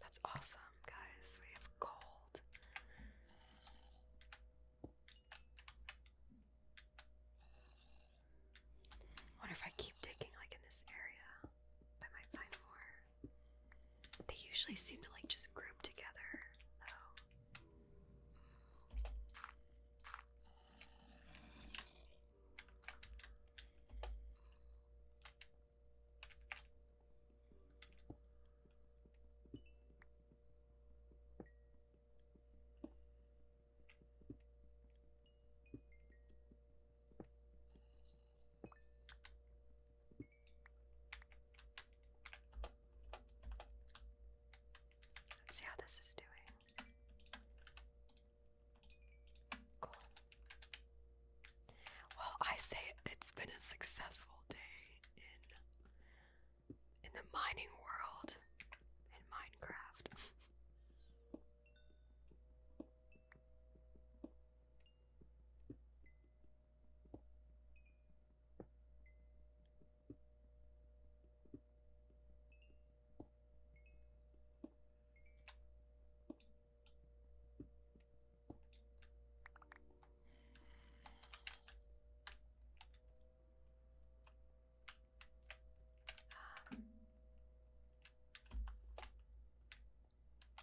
That's awesome, guys. We have gold wonder if I keep digging like in this area, I might find more. They usually seem to like just group together, though. Let's see how this is doing. Cool. Well, I say it's been a successful day in in the mining world in Minecraft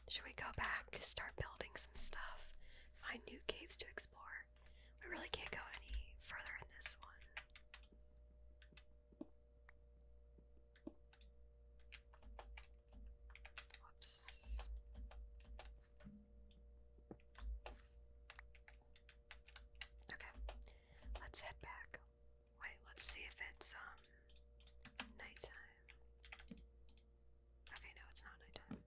should we go back to start building some stuff? Find new caves to explore. We really can't go any further in this one. Whoops. Okay, let's head back. Wait, let's see if it's um, nighttime. Okay, no, it's not nighttime.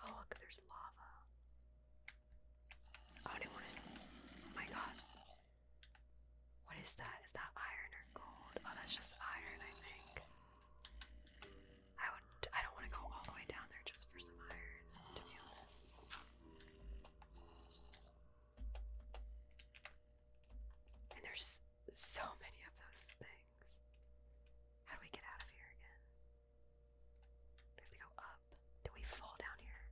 Oh look, there's lava. Oh, oh my god. What is that? Is that iron or gold? Oh, that's just iron, I think. I would. I don't want to go all the way down there just for some iron, And there's so many of those things. How do we get out of here again? Do we go up? Do we fall down here?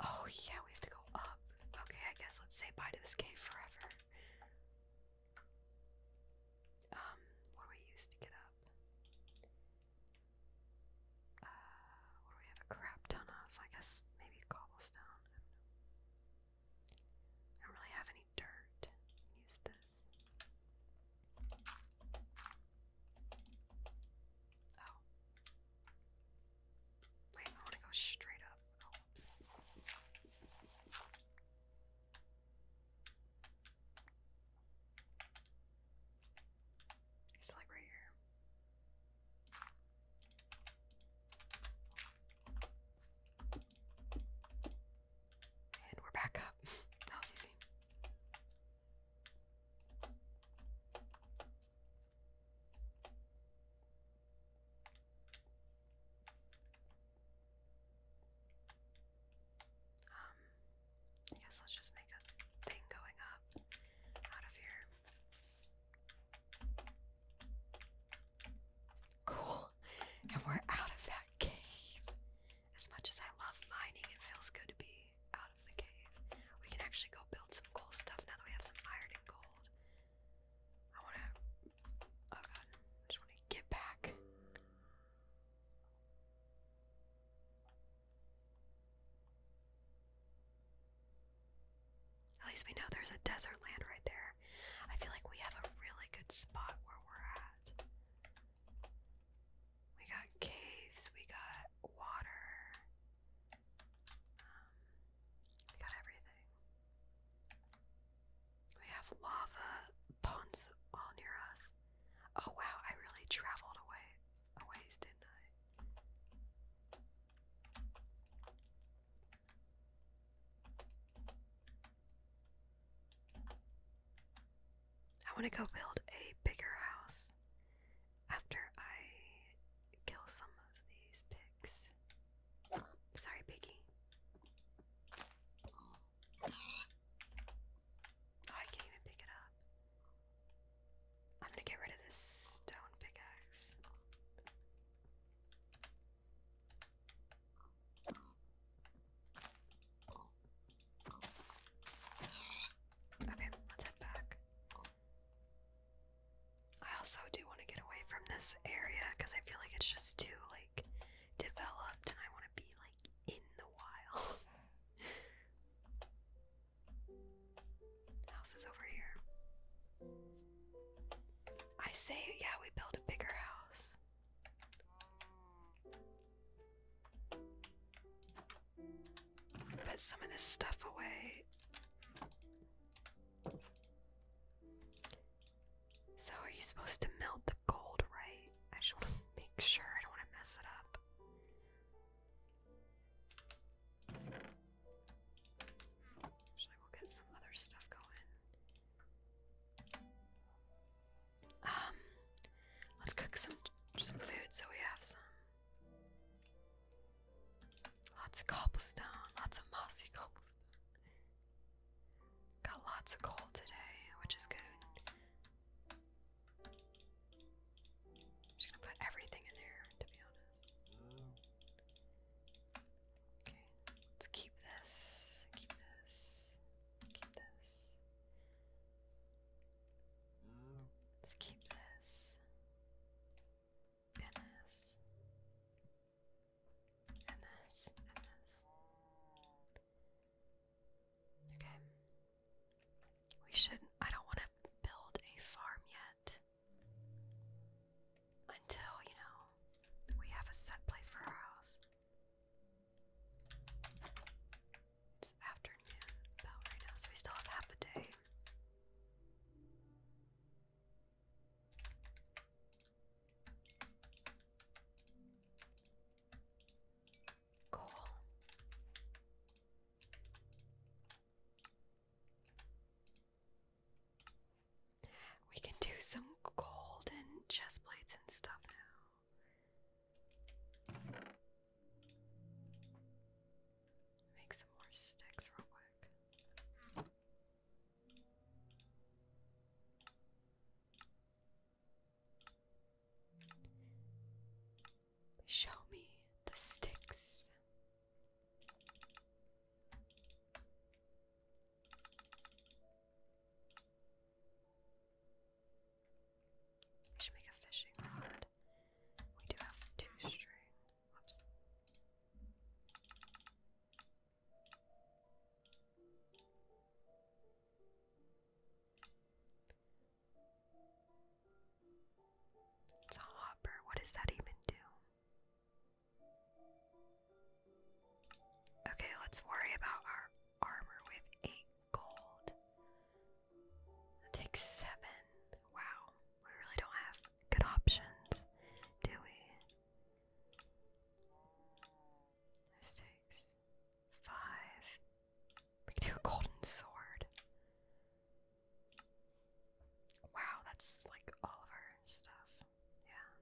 Oh, yeah, we have to go up. Okay, I guess let's say bye to this cave forever. Um, what do we use to get up? Uh, we have a crap ton of? I guess maybe cobblestone. I don't really have any dirt. Use this. Oh. Wait, I want to go straight up. Oh, It's like right here. And we're back up. that was easy. Um, I guess let's just make a thing going up out of here. Cool. And we're out of that cave. As much as I love mining, it feels good to be out of the cave. We can actually go build some cool stuff now that we have some iron and gold. I wanna. Oh god, just wanna get back. At least we know there's a desert land right there. I feel like we have a really good spot where we're at. We got caves, we got water. Um, we got everything. We have lava ponds all near us. Oh wow, I really traveled away a ways, didn't I? I want to go build a bigger house after I kill some of these pigs. Sorry, piggy. Oh, I can't even pick it up. I'm gonna get rid of this stone pickaxe. Okay, let's head back. I also do want to get away from this area because I feel like it's just too like developed and I want to be like in the wild. house is over here. I say, yeah, we build a bigger house. Put some of this stuff away. So, are you supposed to melt the gold, right? I just want to make sure I don't want to mess it up. Should I go get some other stuff going? Um, let's cook some some food so we have some. Lots of cobblestone, lots of mossy cobblestone. Got lots of coal today, which is good. just gonna put everything in there, to be honest. Okay, let's keep this, keep this, keep this. Let's keep this and this, and Okay. We should. I don't want to build a farm yet until, you know, we have a set place for our house. It's afternoon about right now, so we still have half a day. Cool. We can do some gold and chest plates and stuff now. Make some more sticks real quick. Show me the sticks. We should make a fishing rod. We do have two string. Whoops. It's a hopper. What does that even do? Okay, let's worry about our armor. We have eight gold. That takes seven. Wow, we really don't have good options, do we? This five. We can do a golden sword. Wow, that's like all of our stuff. Yeah.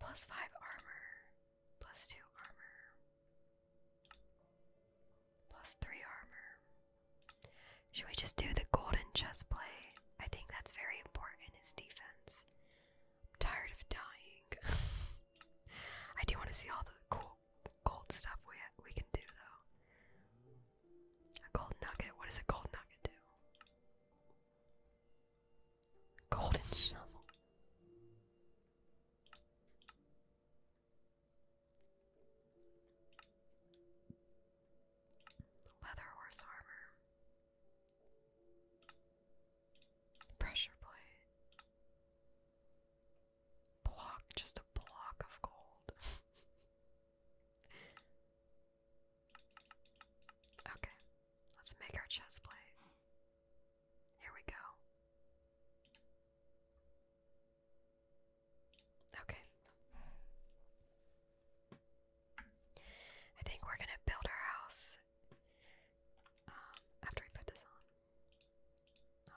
Plus five armor. Plus two armor. Plus three armor. Should we just do the golden chess play? I think that's very important, is defense. I'm tired of dying. I do want to see all the cool gold stuff we, we can do, though. A gold nugget. What a gold nugget do? Golden shovel. Leather horse armor. Pressure plate. Block, just a block of gold. okay, let's make our chest plate. Here we go. Okay. I think we're gonna build our house um, after we put this on.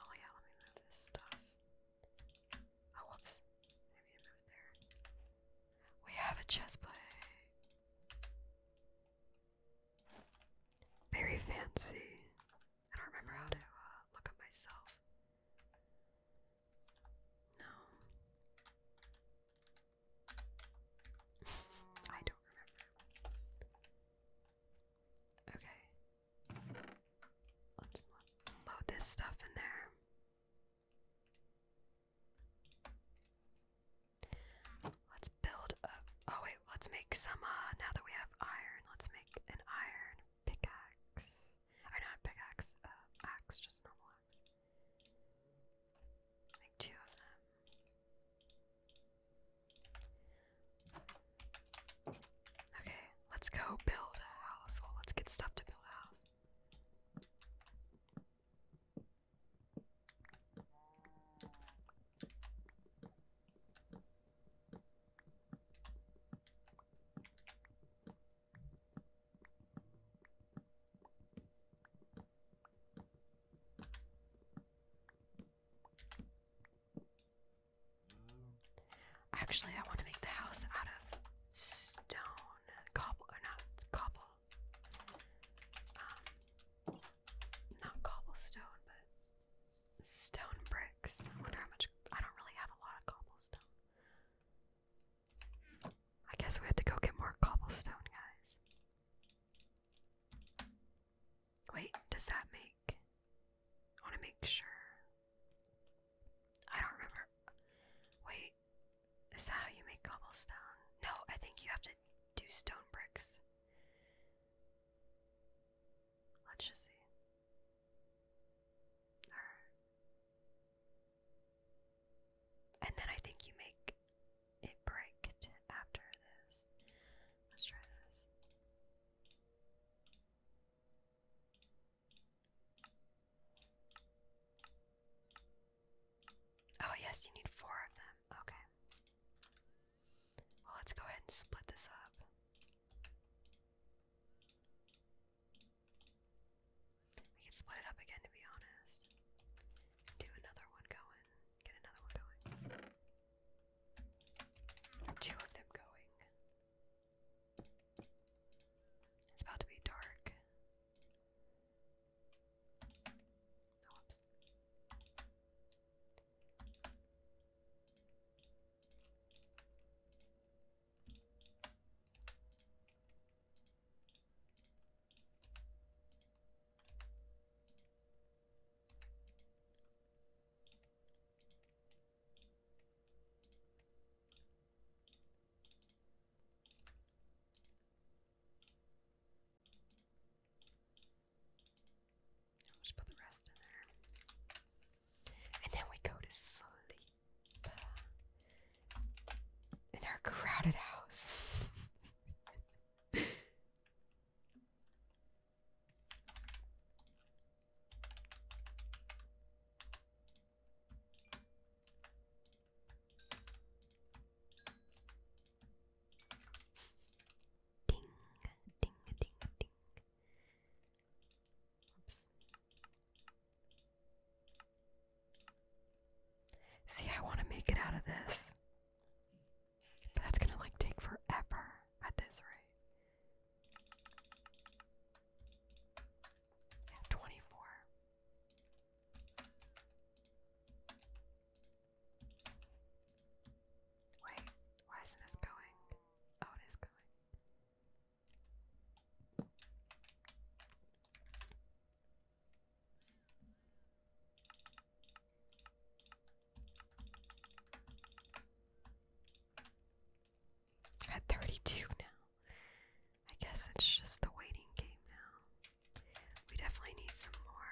Oh yeah, let me move this stuff. Oh whoops. I move it there. We have a chess play. Very fancy. I don't remember how to uh, look up myself. No. I don't remember. Okay. Let's load this stuff in there. Let's build up. Oh, wait, let's make some. Uh, now that we have iron, let's make an iron pickaxe. Or not a pickaxe, uh, axe, just normal axe. Like two of them. Okay, let's go build a house. Well, let's get stuff to build a house. Actually, I want to make the house out of stone, cobble, or not cobble. Um, not cobblestone, but stone bricks. I wonder how much. I don't really have a lot of cobblestone. I guess we have to go get more cobblestone, guys. Wait, does that make. I want to make sure. I don't remember. Wait, is that how you make cobblestone? No, I think you have to do stone bricks. Let's just see. And then I think you make it break after this. Let's try this. Oh, yes, you need four of them. Okay. Well, let's go ahead and split this up. We can split it up again to be honest. Do another one going. Get another one going. Two of them going. It's about to be dark. Oh, whoops. I'll just put the rest in there. And then we go to sleep in our crowded house. ding, ding, ding, ding. See, I want to make it out of this. But that's gonna like take forever at this rate. Yeah, 24. Wait, why isn't this going? Oh, it is going. At 32 now. I guess it's just the waiting game now. We definitely need some more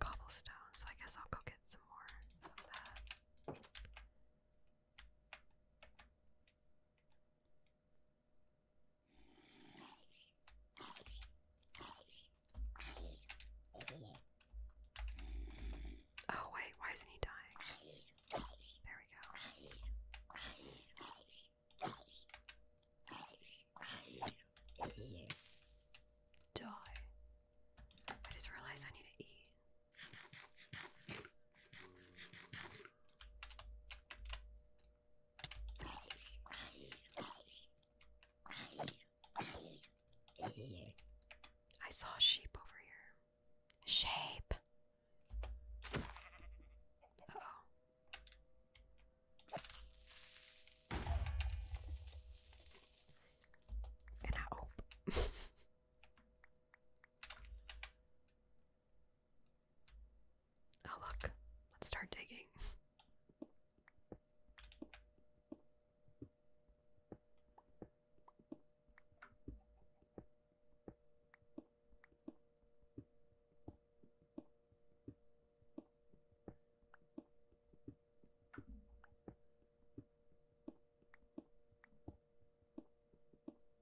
cobblestone, so I guess I'll go get some more of that. Oh, wait, why isn't he dying? There we go. Die. I just realized I need to eat. I saw a sheep over here. Shape. oh. Oh, look, let's start digging.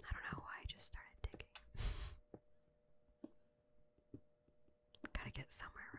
I don't know why I just started digging. Gotta get somewhere, right?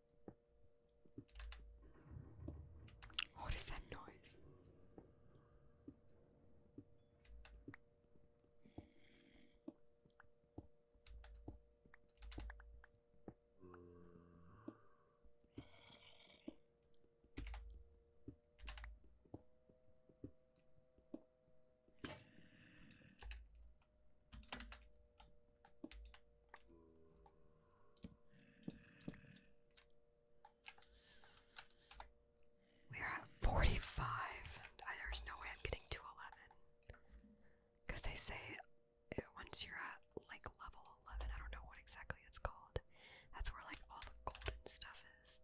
What is that noise? We are at 45. I, there's no way I'm getting to 11. Because they say once you're at like level 11, I don't know what exactly it's called. That's where like all the golden stuff is.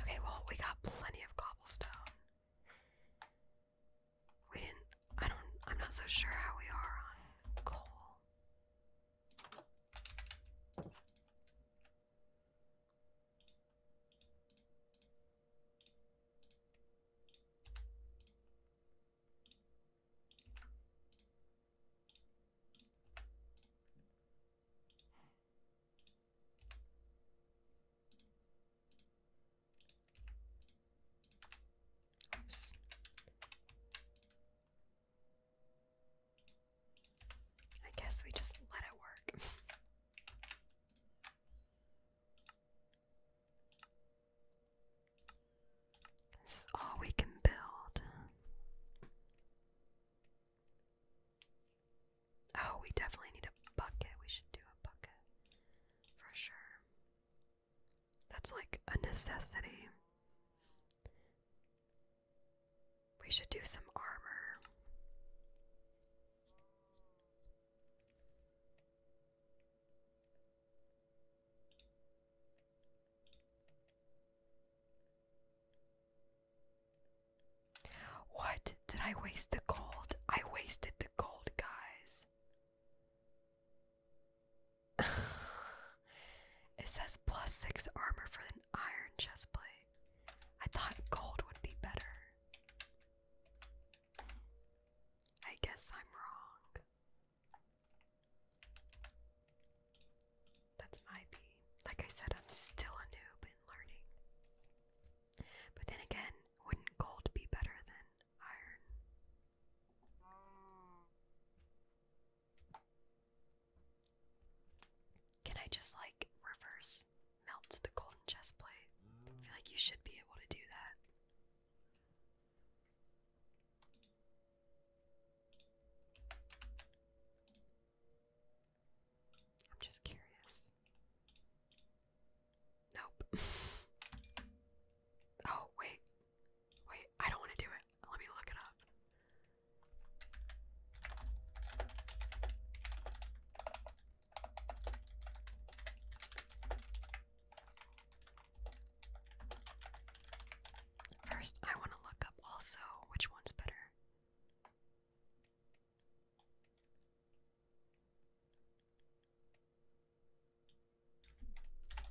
Okay, well, we got plenty of cobblestone. We didn't. I don't. I'm not so sure how we are on coal. I guess we just let it work. this is all we can build. Oh, we definitely need a bucket. We should do a bucket. For sure. That's like a necessity. We should do some armor. What? Did I waste the gold? I wasted the gold, guys. it says plus six armor for an iron chestplate. I thought gold would be better. I guess I'm wrong. That's my B. Like I said, I'm still a noob in learning. But then again, wouldn't gold be better than iron? Can I just like reverse melt the golden chest plate? I feel like you should be able to do that. I'm just curious. Nope. oh, wait. Wait, I don't want to do it. Let me look it up. First, I want to look up also which one's better.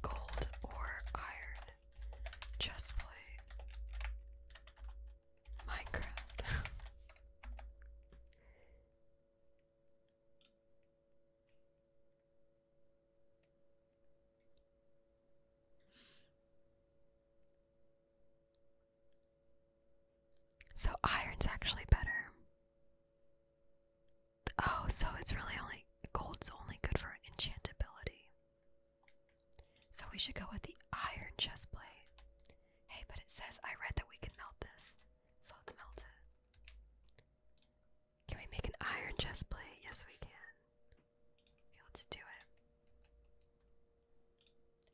Gold or iron chestplate. Minecraft. So iron's actually better. Oh, so it's really only gold's only good for enchantability. So we should go with the iron chest plate. Hey, but it says I read that we can melt this. So let's melt it. Can we make an iron chest plate? Yes, we can. Okay, let's do it.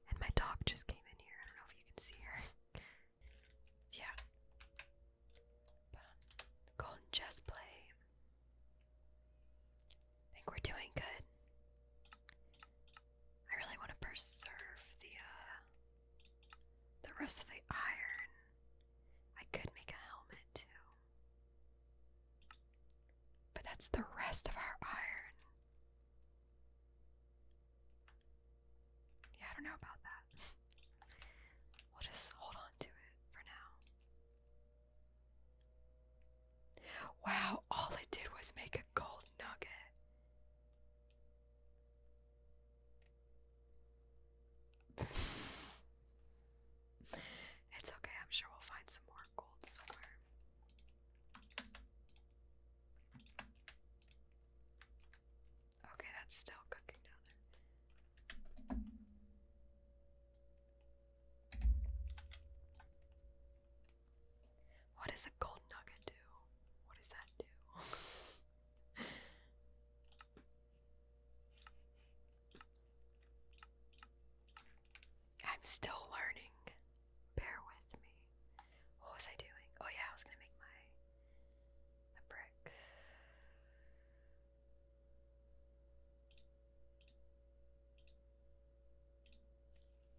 And my dog just came in here. I don't know if you can see her. yeah. But on think we're doing good. I really want to preserve the uh, the rest of the iron. I could make a helmet too. But that's the rest of our iron. Yeah, I don't know about that. we'll just hold on to it for now. Wow, all it did was make a gold nugget. it's okay, I'm sure we'll find some more gold somewhere. Okay, that's still cooking down there. What does a gold nugget do? What does that do? I'm still learning. Bear with me. What was I doing? Oh yeah, I was gonna make my the bricks.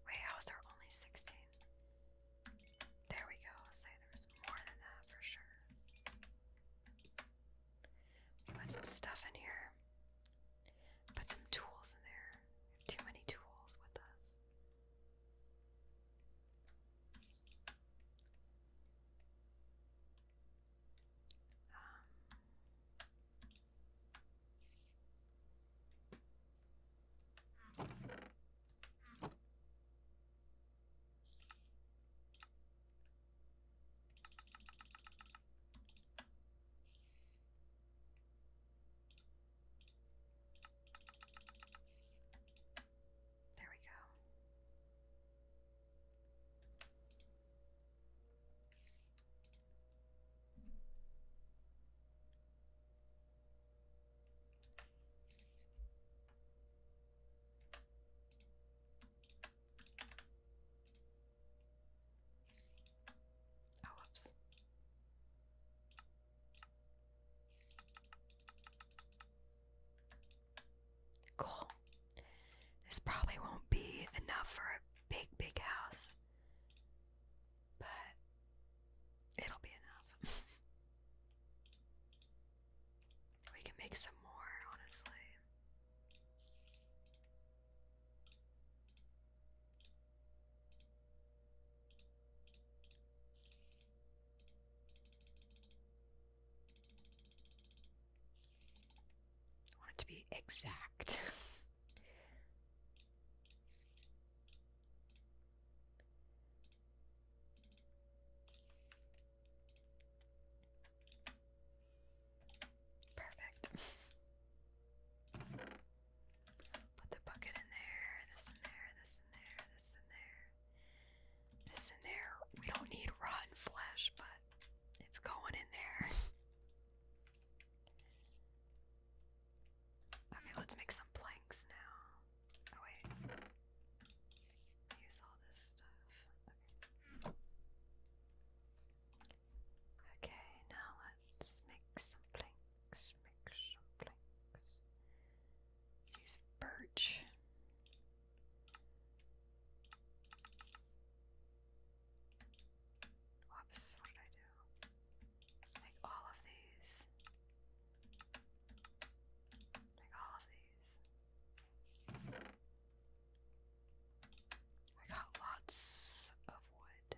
Wait, how is there only sixteen? There we go. I'll say there's more than that for sure. Put some stuff in here. Put some tools in there. Too many tools with us. Um, there we go. Oh, whoops. Cool. This probably won't be enough for a big, big house, but it'll be enough. we can make some more, honestly. I want it to be exact. Perfect. Put the bucket in there, this in there, this in there, this in there, this in there. We don't need rotten flesh, but it's going in there. Okay, let's make some planks now. Oh, wait. Use all this stuff. Okay. now let's make some planks flanks, make some flanks. birch. Whoops, what did I do? Make all of these. Make all of these. I got lots of wood.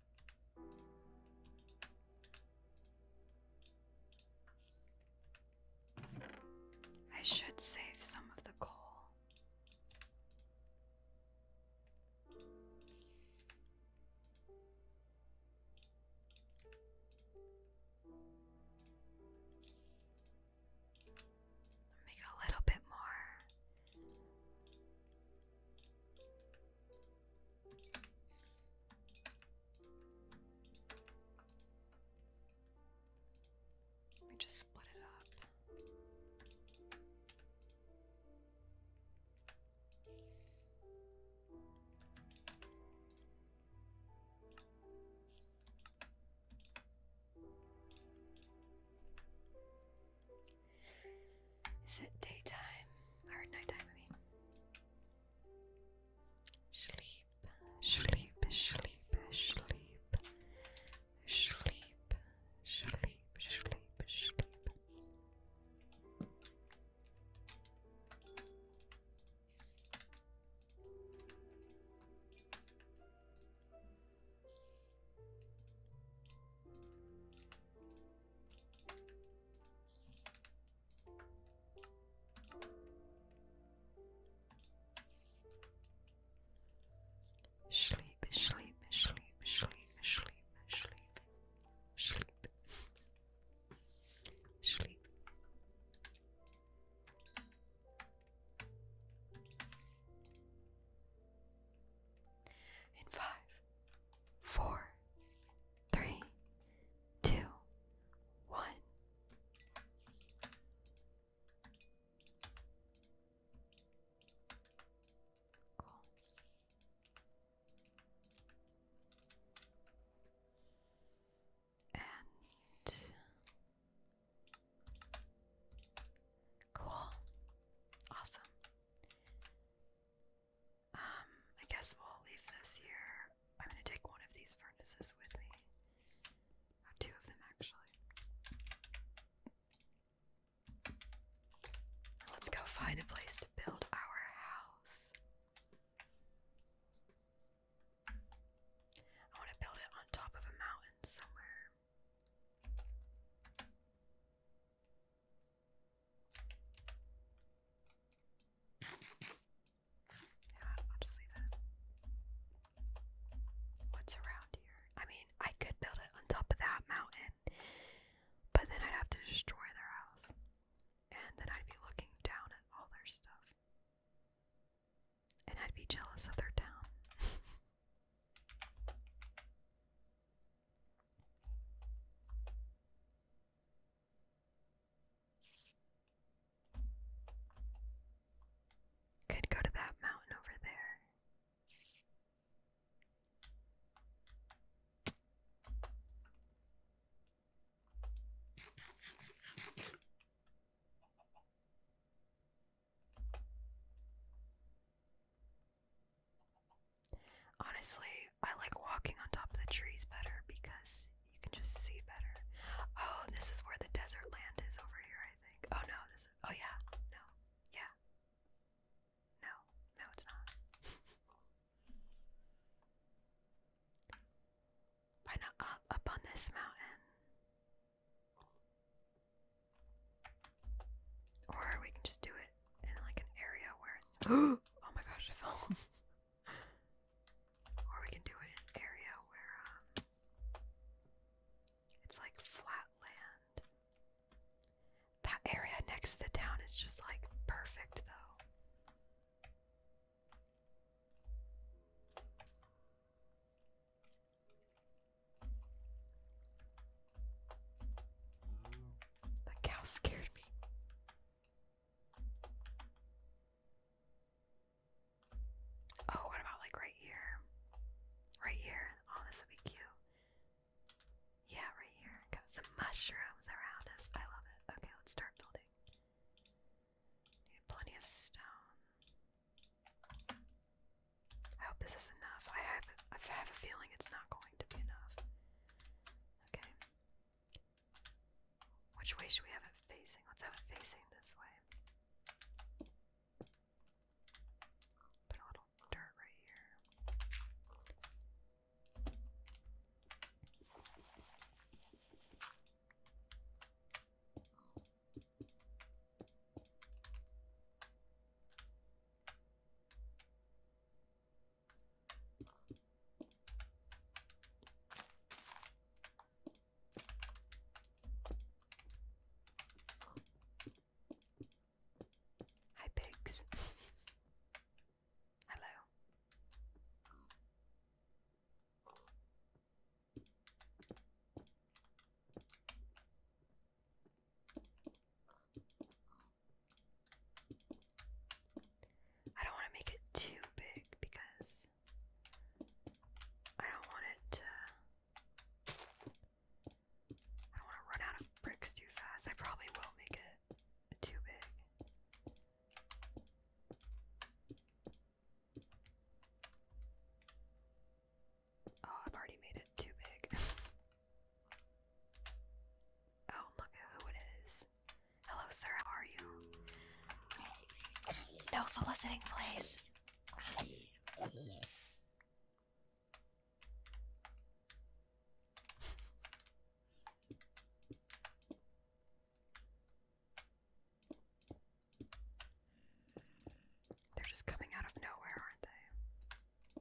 I should save some of the coal. Make a little bit more. We just split it up. Is it daytime? Or nighttime, I mean. Sleep, sleep, sleep, sleep, sleep, sleep, sleep, sleep. Sleep, sleep, sleep, sleep, sleep, sleep, sleep, sleep. In five, four, three, two, one. Cool. And cool. Awesome. Um, I guess we'll leave this here. I'm gonna take one of these furnaces with me. Uh, two of them actually. Let's go find a place to build our house. I want to build it on top of a mountain somewhere. Yeah, I'll just leave it. What's around here? I mean, I could build it on top of that mountain, but then I'd have to destroy their house. And then I'd be looking down at all their stuff. And I'd be jealous of their town. Could go to that mountain over there. Honestly, I like walking on top of the trees better because you can just see better. Oh, this is where the desert land is over here, I think. Oh no, this is oh yeah, no, yeah. No, no, it's not. Why not up up on this mountain? Or we can just do it in like an area where it's oh my gosh, or we can do it in area where um, it's like flat land. That area next to the town is just like perfect though. That cow scared me. Oh, what about like right here? Right here. Oh, this would be cute. Yeah, right here. Got some mushrooms around us. I love it. Okay, let's start building. Need plenty of stone. I hope this is enough. I have I have a feeling it's not going to be enough. Okay. Which way should we have it facing? Let's have it facing this way. Put a little dirt right here. Hi, pigs. Hello. I don't want to make it too big because I don't want it to. I don't want to run out of bricks too fast. I probably will make it too big. Oh, I've already made it too big. Oh, look at who it is. Hello, sir, how are you? No soliciting, please. They're just coming out of nowhere, aren't they?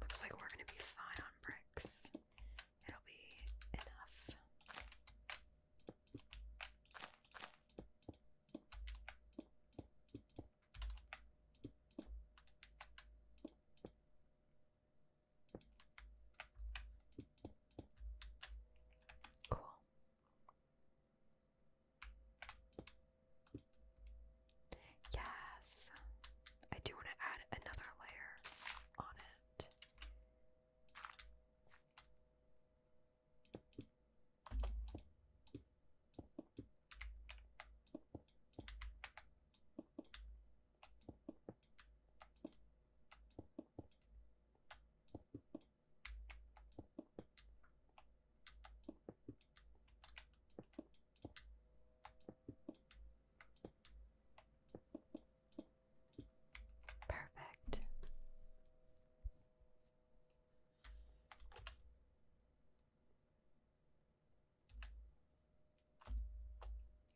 Looks like we're gonna be fine on bricks. It'll be enough. Cool. Yes. I do want to add another layer on it. Perfect.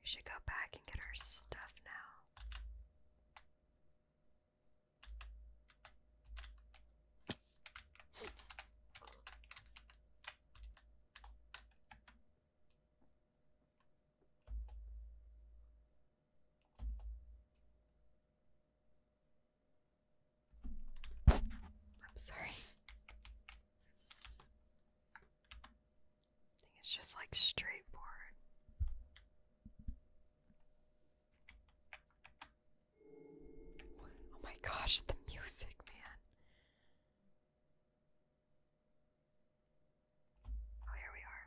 We should go back and get our stuff now. I'm sorry. I think it's just like straightforward. Oh my gosh, the music, man. Oh, here we are.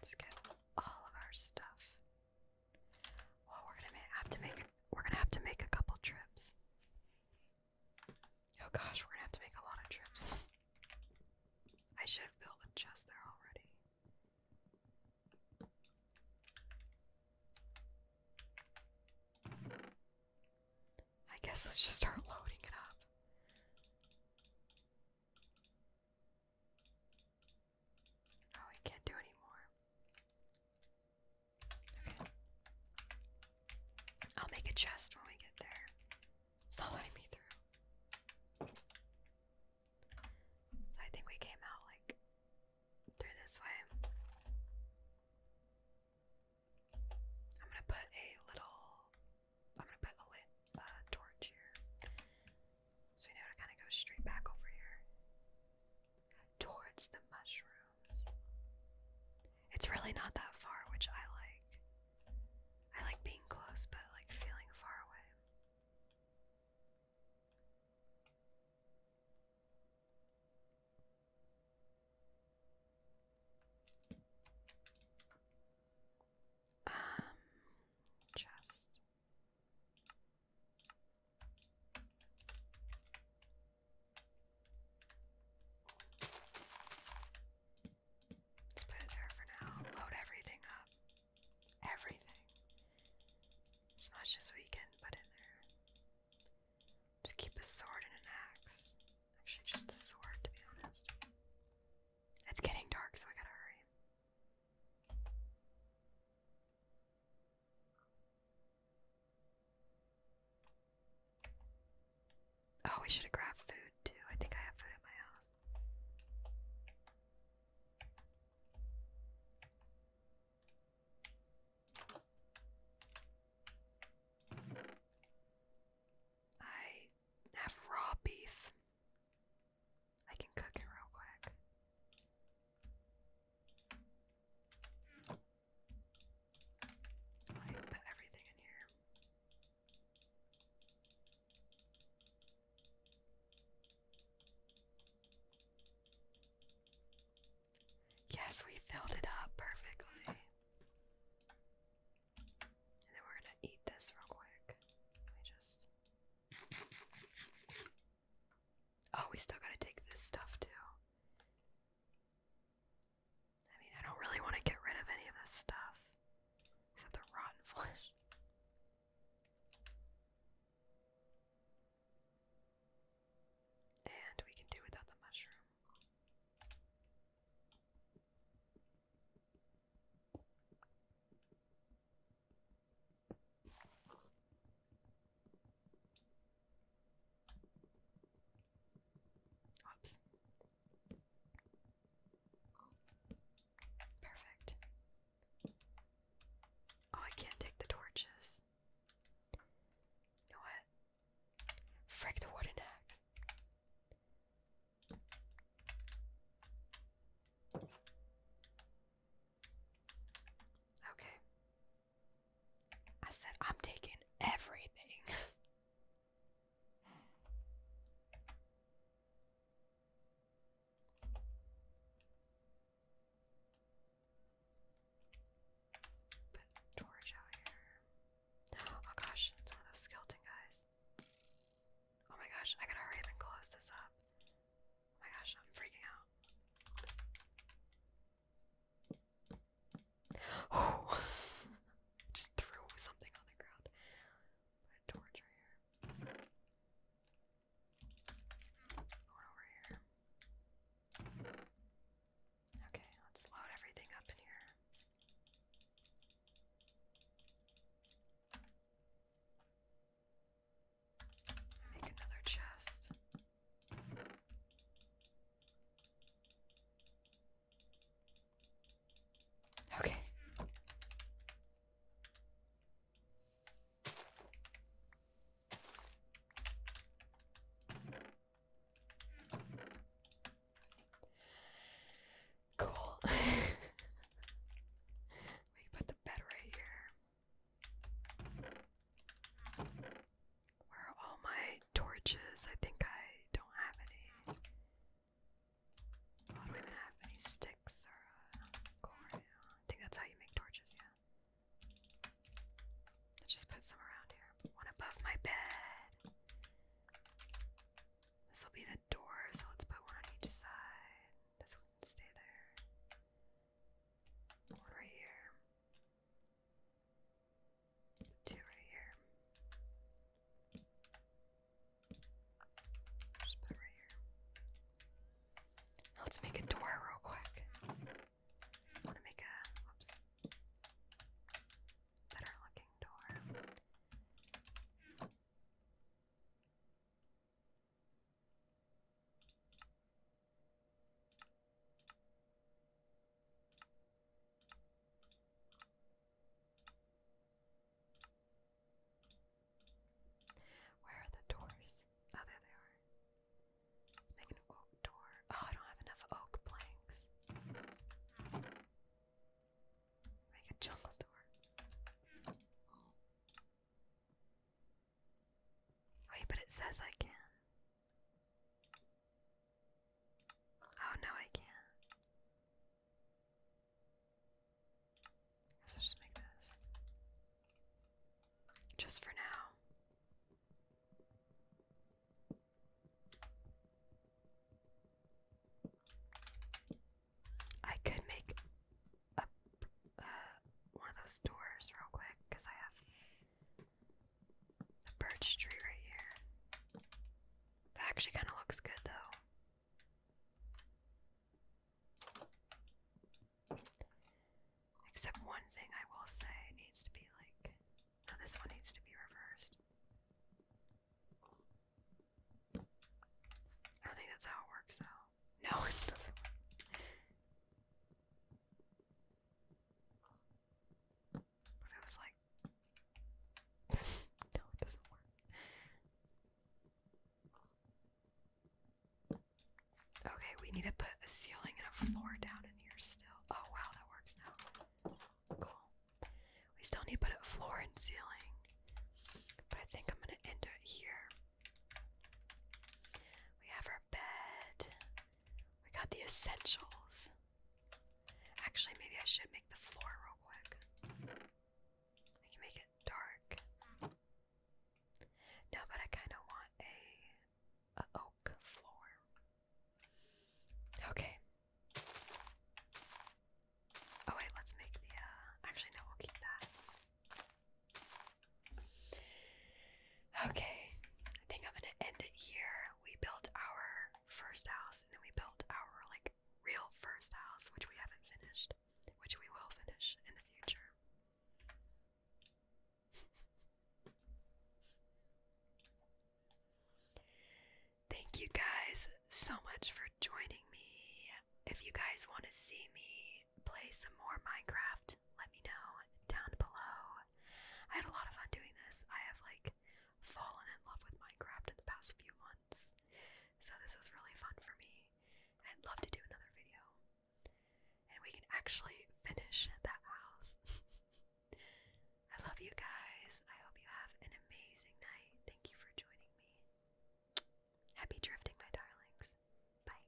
Let's get all of our stuff. Well, we're gonna have to make we're gonna have to make a couple trips. Oh gosh, we're gonna have to make a lot of trips. I should have built a chest there already. I guess let's just start loading it up. Oh, I can't do anymore. Okay. I'll make a chest when we get there. It's not letting me through. So I think we came out like through this way. I'm gonna put a little. I'm gonna put a lit uh, torch here, so we know to kind of go straight back over here towards the mushrooms. It's really not that far, which I like. I like being close, but like feeling far away. Um, just Let's put it there for now. Load everything up. Everything. As much as we can put in there. Just keep a sword and an axe. Actually, just a sword, to be honest. It's getting dark, so I gotta hurry. Oh, we should have grabbed food too. I think I have food at my house. I have raw beef. I can cook it real quick. I put everything in here. Yes, we filled it up perfectly. And then we're going to eat this real quick. Let me just. Oh, we still gotta take this stuff too. I mean, I don't really want to get rid of any of this stuff. Except the rotten flesh. And we can do without the mushroom. Oops. Perfect. Oh, I can't take the torches. what? Frick the wooden axe. Okay, I said, I'm taking everything. Put torch out here. Oh gosh, it's one of those skeleton guys. Oh my gosh, I gotta hurry close this up. Oh my gosh, I'm freaking out. Oh! Just threw something on the ground. Put torch right here. over here. Okay, let's load everything up in here. Make another chest. Okay. Cool. we can put the bed right here. Where are all my torches? I think I don't have any. Oh, I don't even have any sticks or uh, corn. I think that's how you make torches, yeah. Let's just put some around here. One above my bed. This will be the door, so let's put one on each side. This one can stay there. One right here. Two right here. Just put it right here. Let's make a door real quick. I want to make a oops better looking door. Where are the doors? Oh, there they are. Let's make an oak door. Oh, I don't have enough oak planks. Make a jungle door. Wait, but it says I can. Oh no, I can't. I just make this. Just for now. I could make a, uh, one of those doors real quick because I have the birch tree right here. That actually kind of looks good though. Except one thing I will say it needs to be like. No, this one needs to be reversed. I don't think that's how it works though. No, But I was like, no, it doesn't work. Okay, we need to put a ceiling and a floor down in here still. Oh wow, that works now. Cool. We still need to put a floor and ceiling. But I think I'm gonna end it here. We have our bed. We got the essentials. Actually, maybe I should make the floor real quick. I can make it dark. No, but I kind of want a, a oak floor. Okay. Oh wait, let's make the. Uh, actually, no, we'll keep that. Okay, I think I'm gonna end it here we built our first house and then we built our like real first house, which we haven't finished, which we will finish in the future. Thank you guys so much for joining me. If you guys want to see me play some more Minecraft, let me know down below. I had a lot of fun doing this. I have like fallen in love with Minecraft in the past few months. So this was really fun for me. I'd love to do another video. And we can actually finish that house. I love you guys. I hope you have an amazing night. Thank you for joining me. Happy drifting, my darlings. Bye.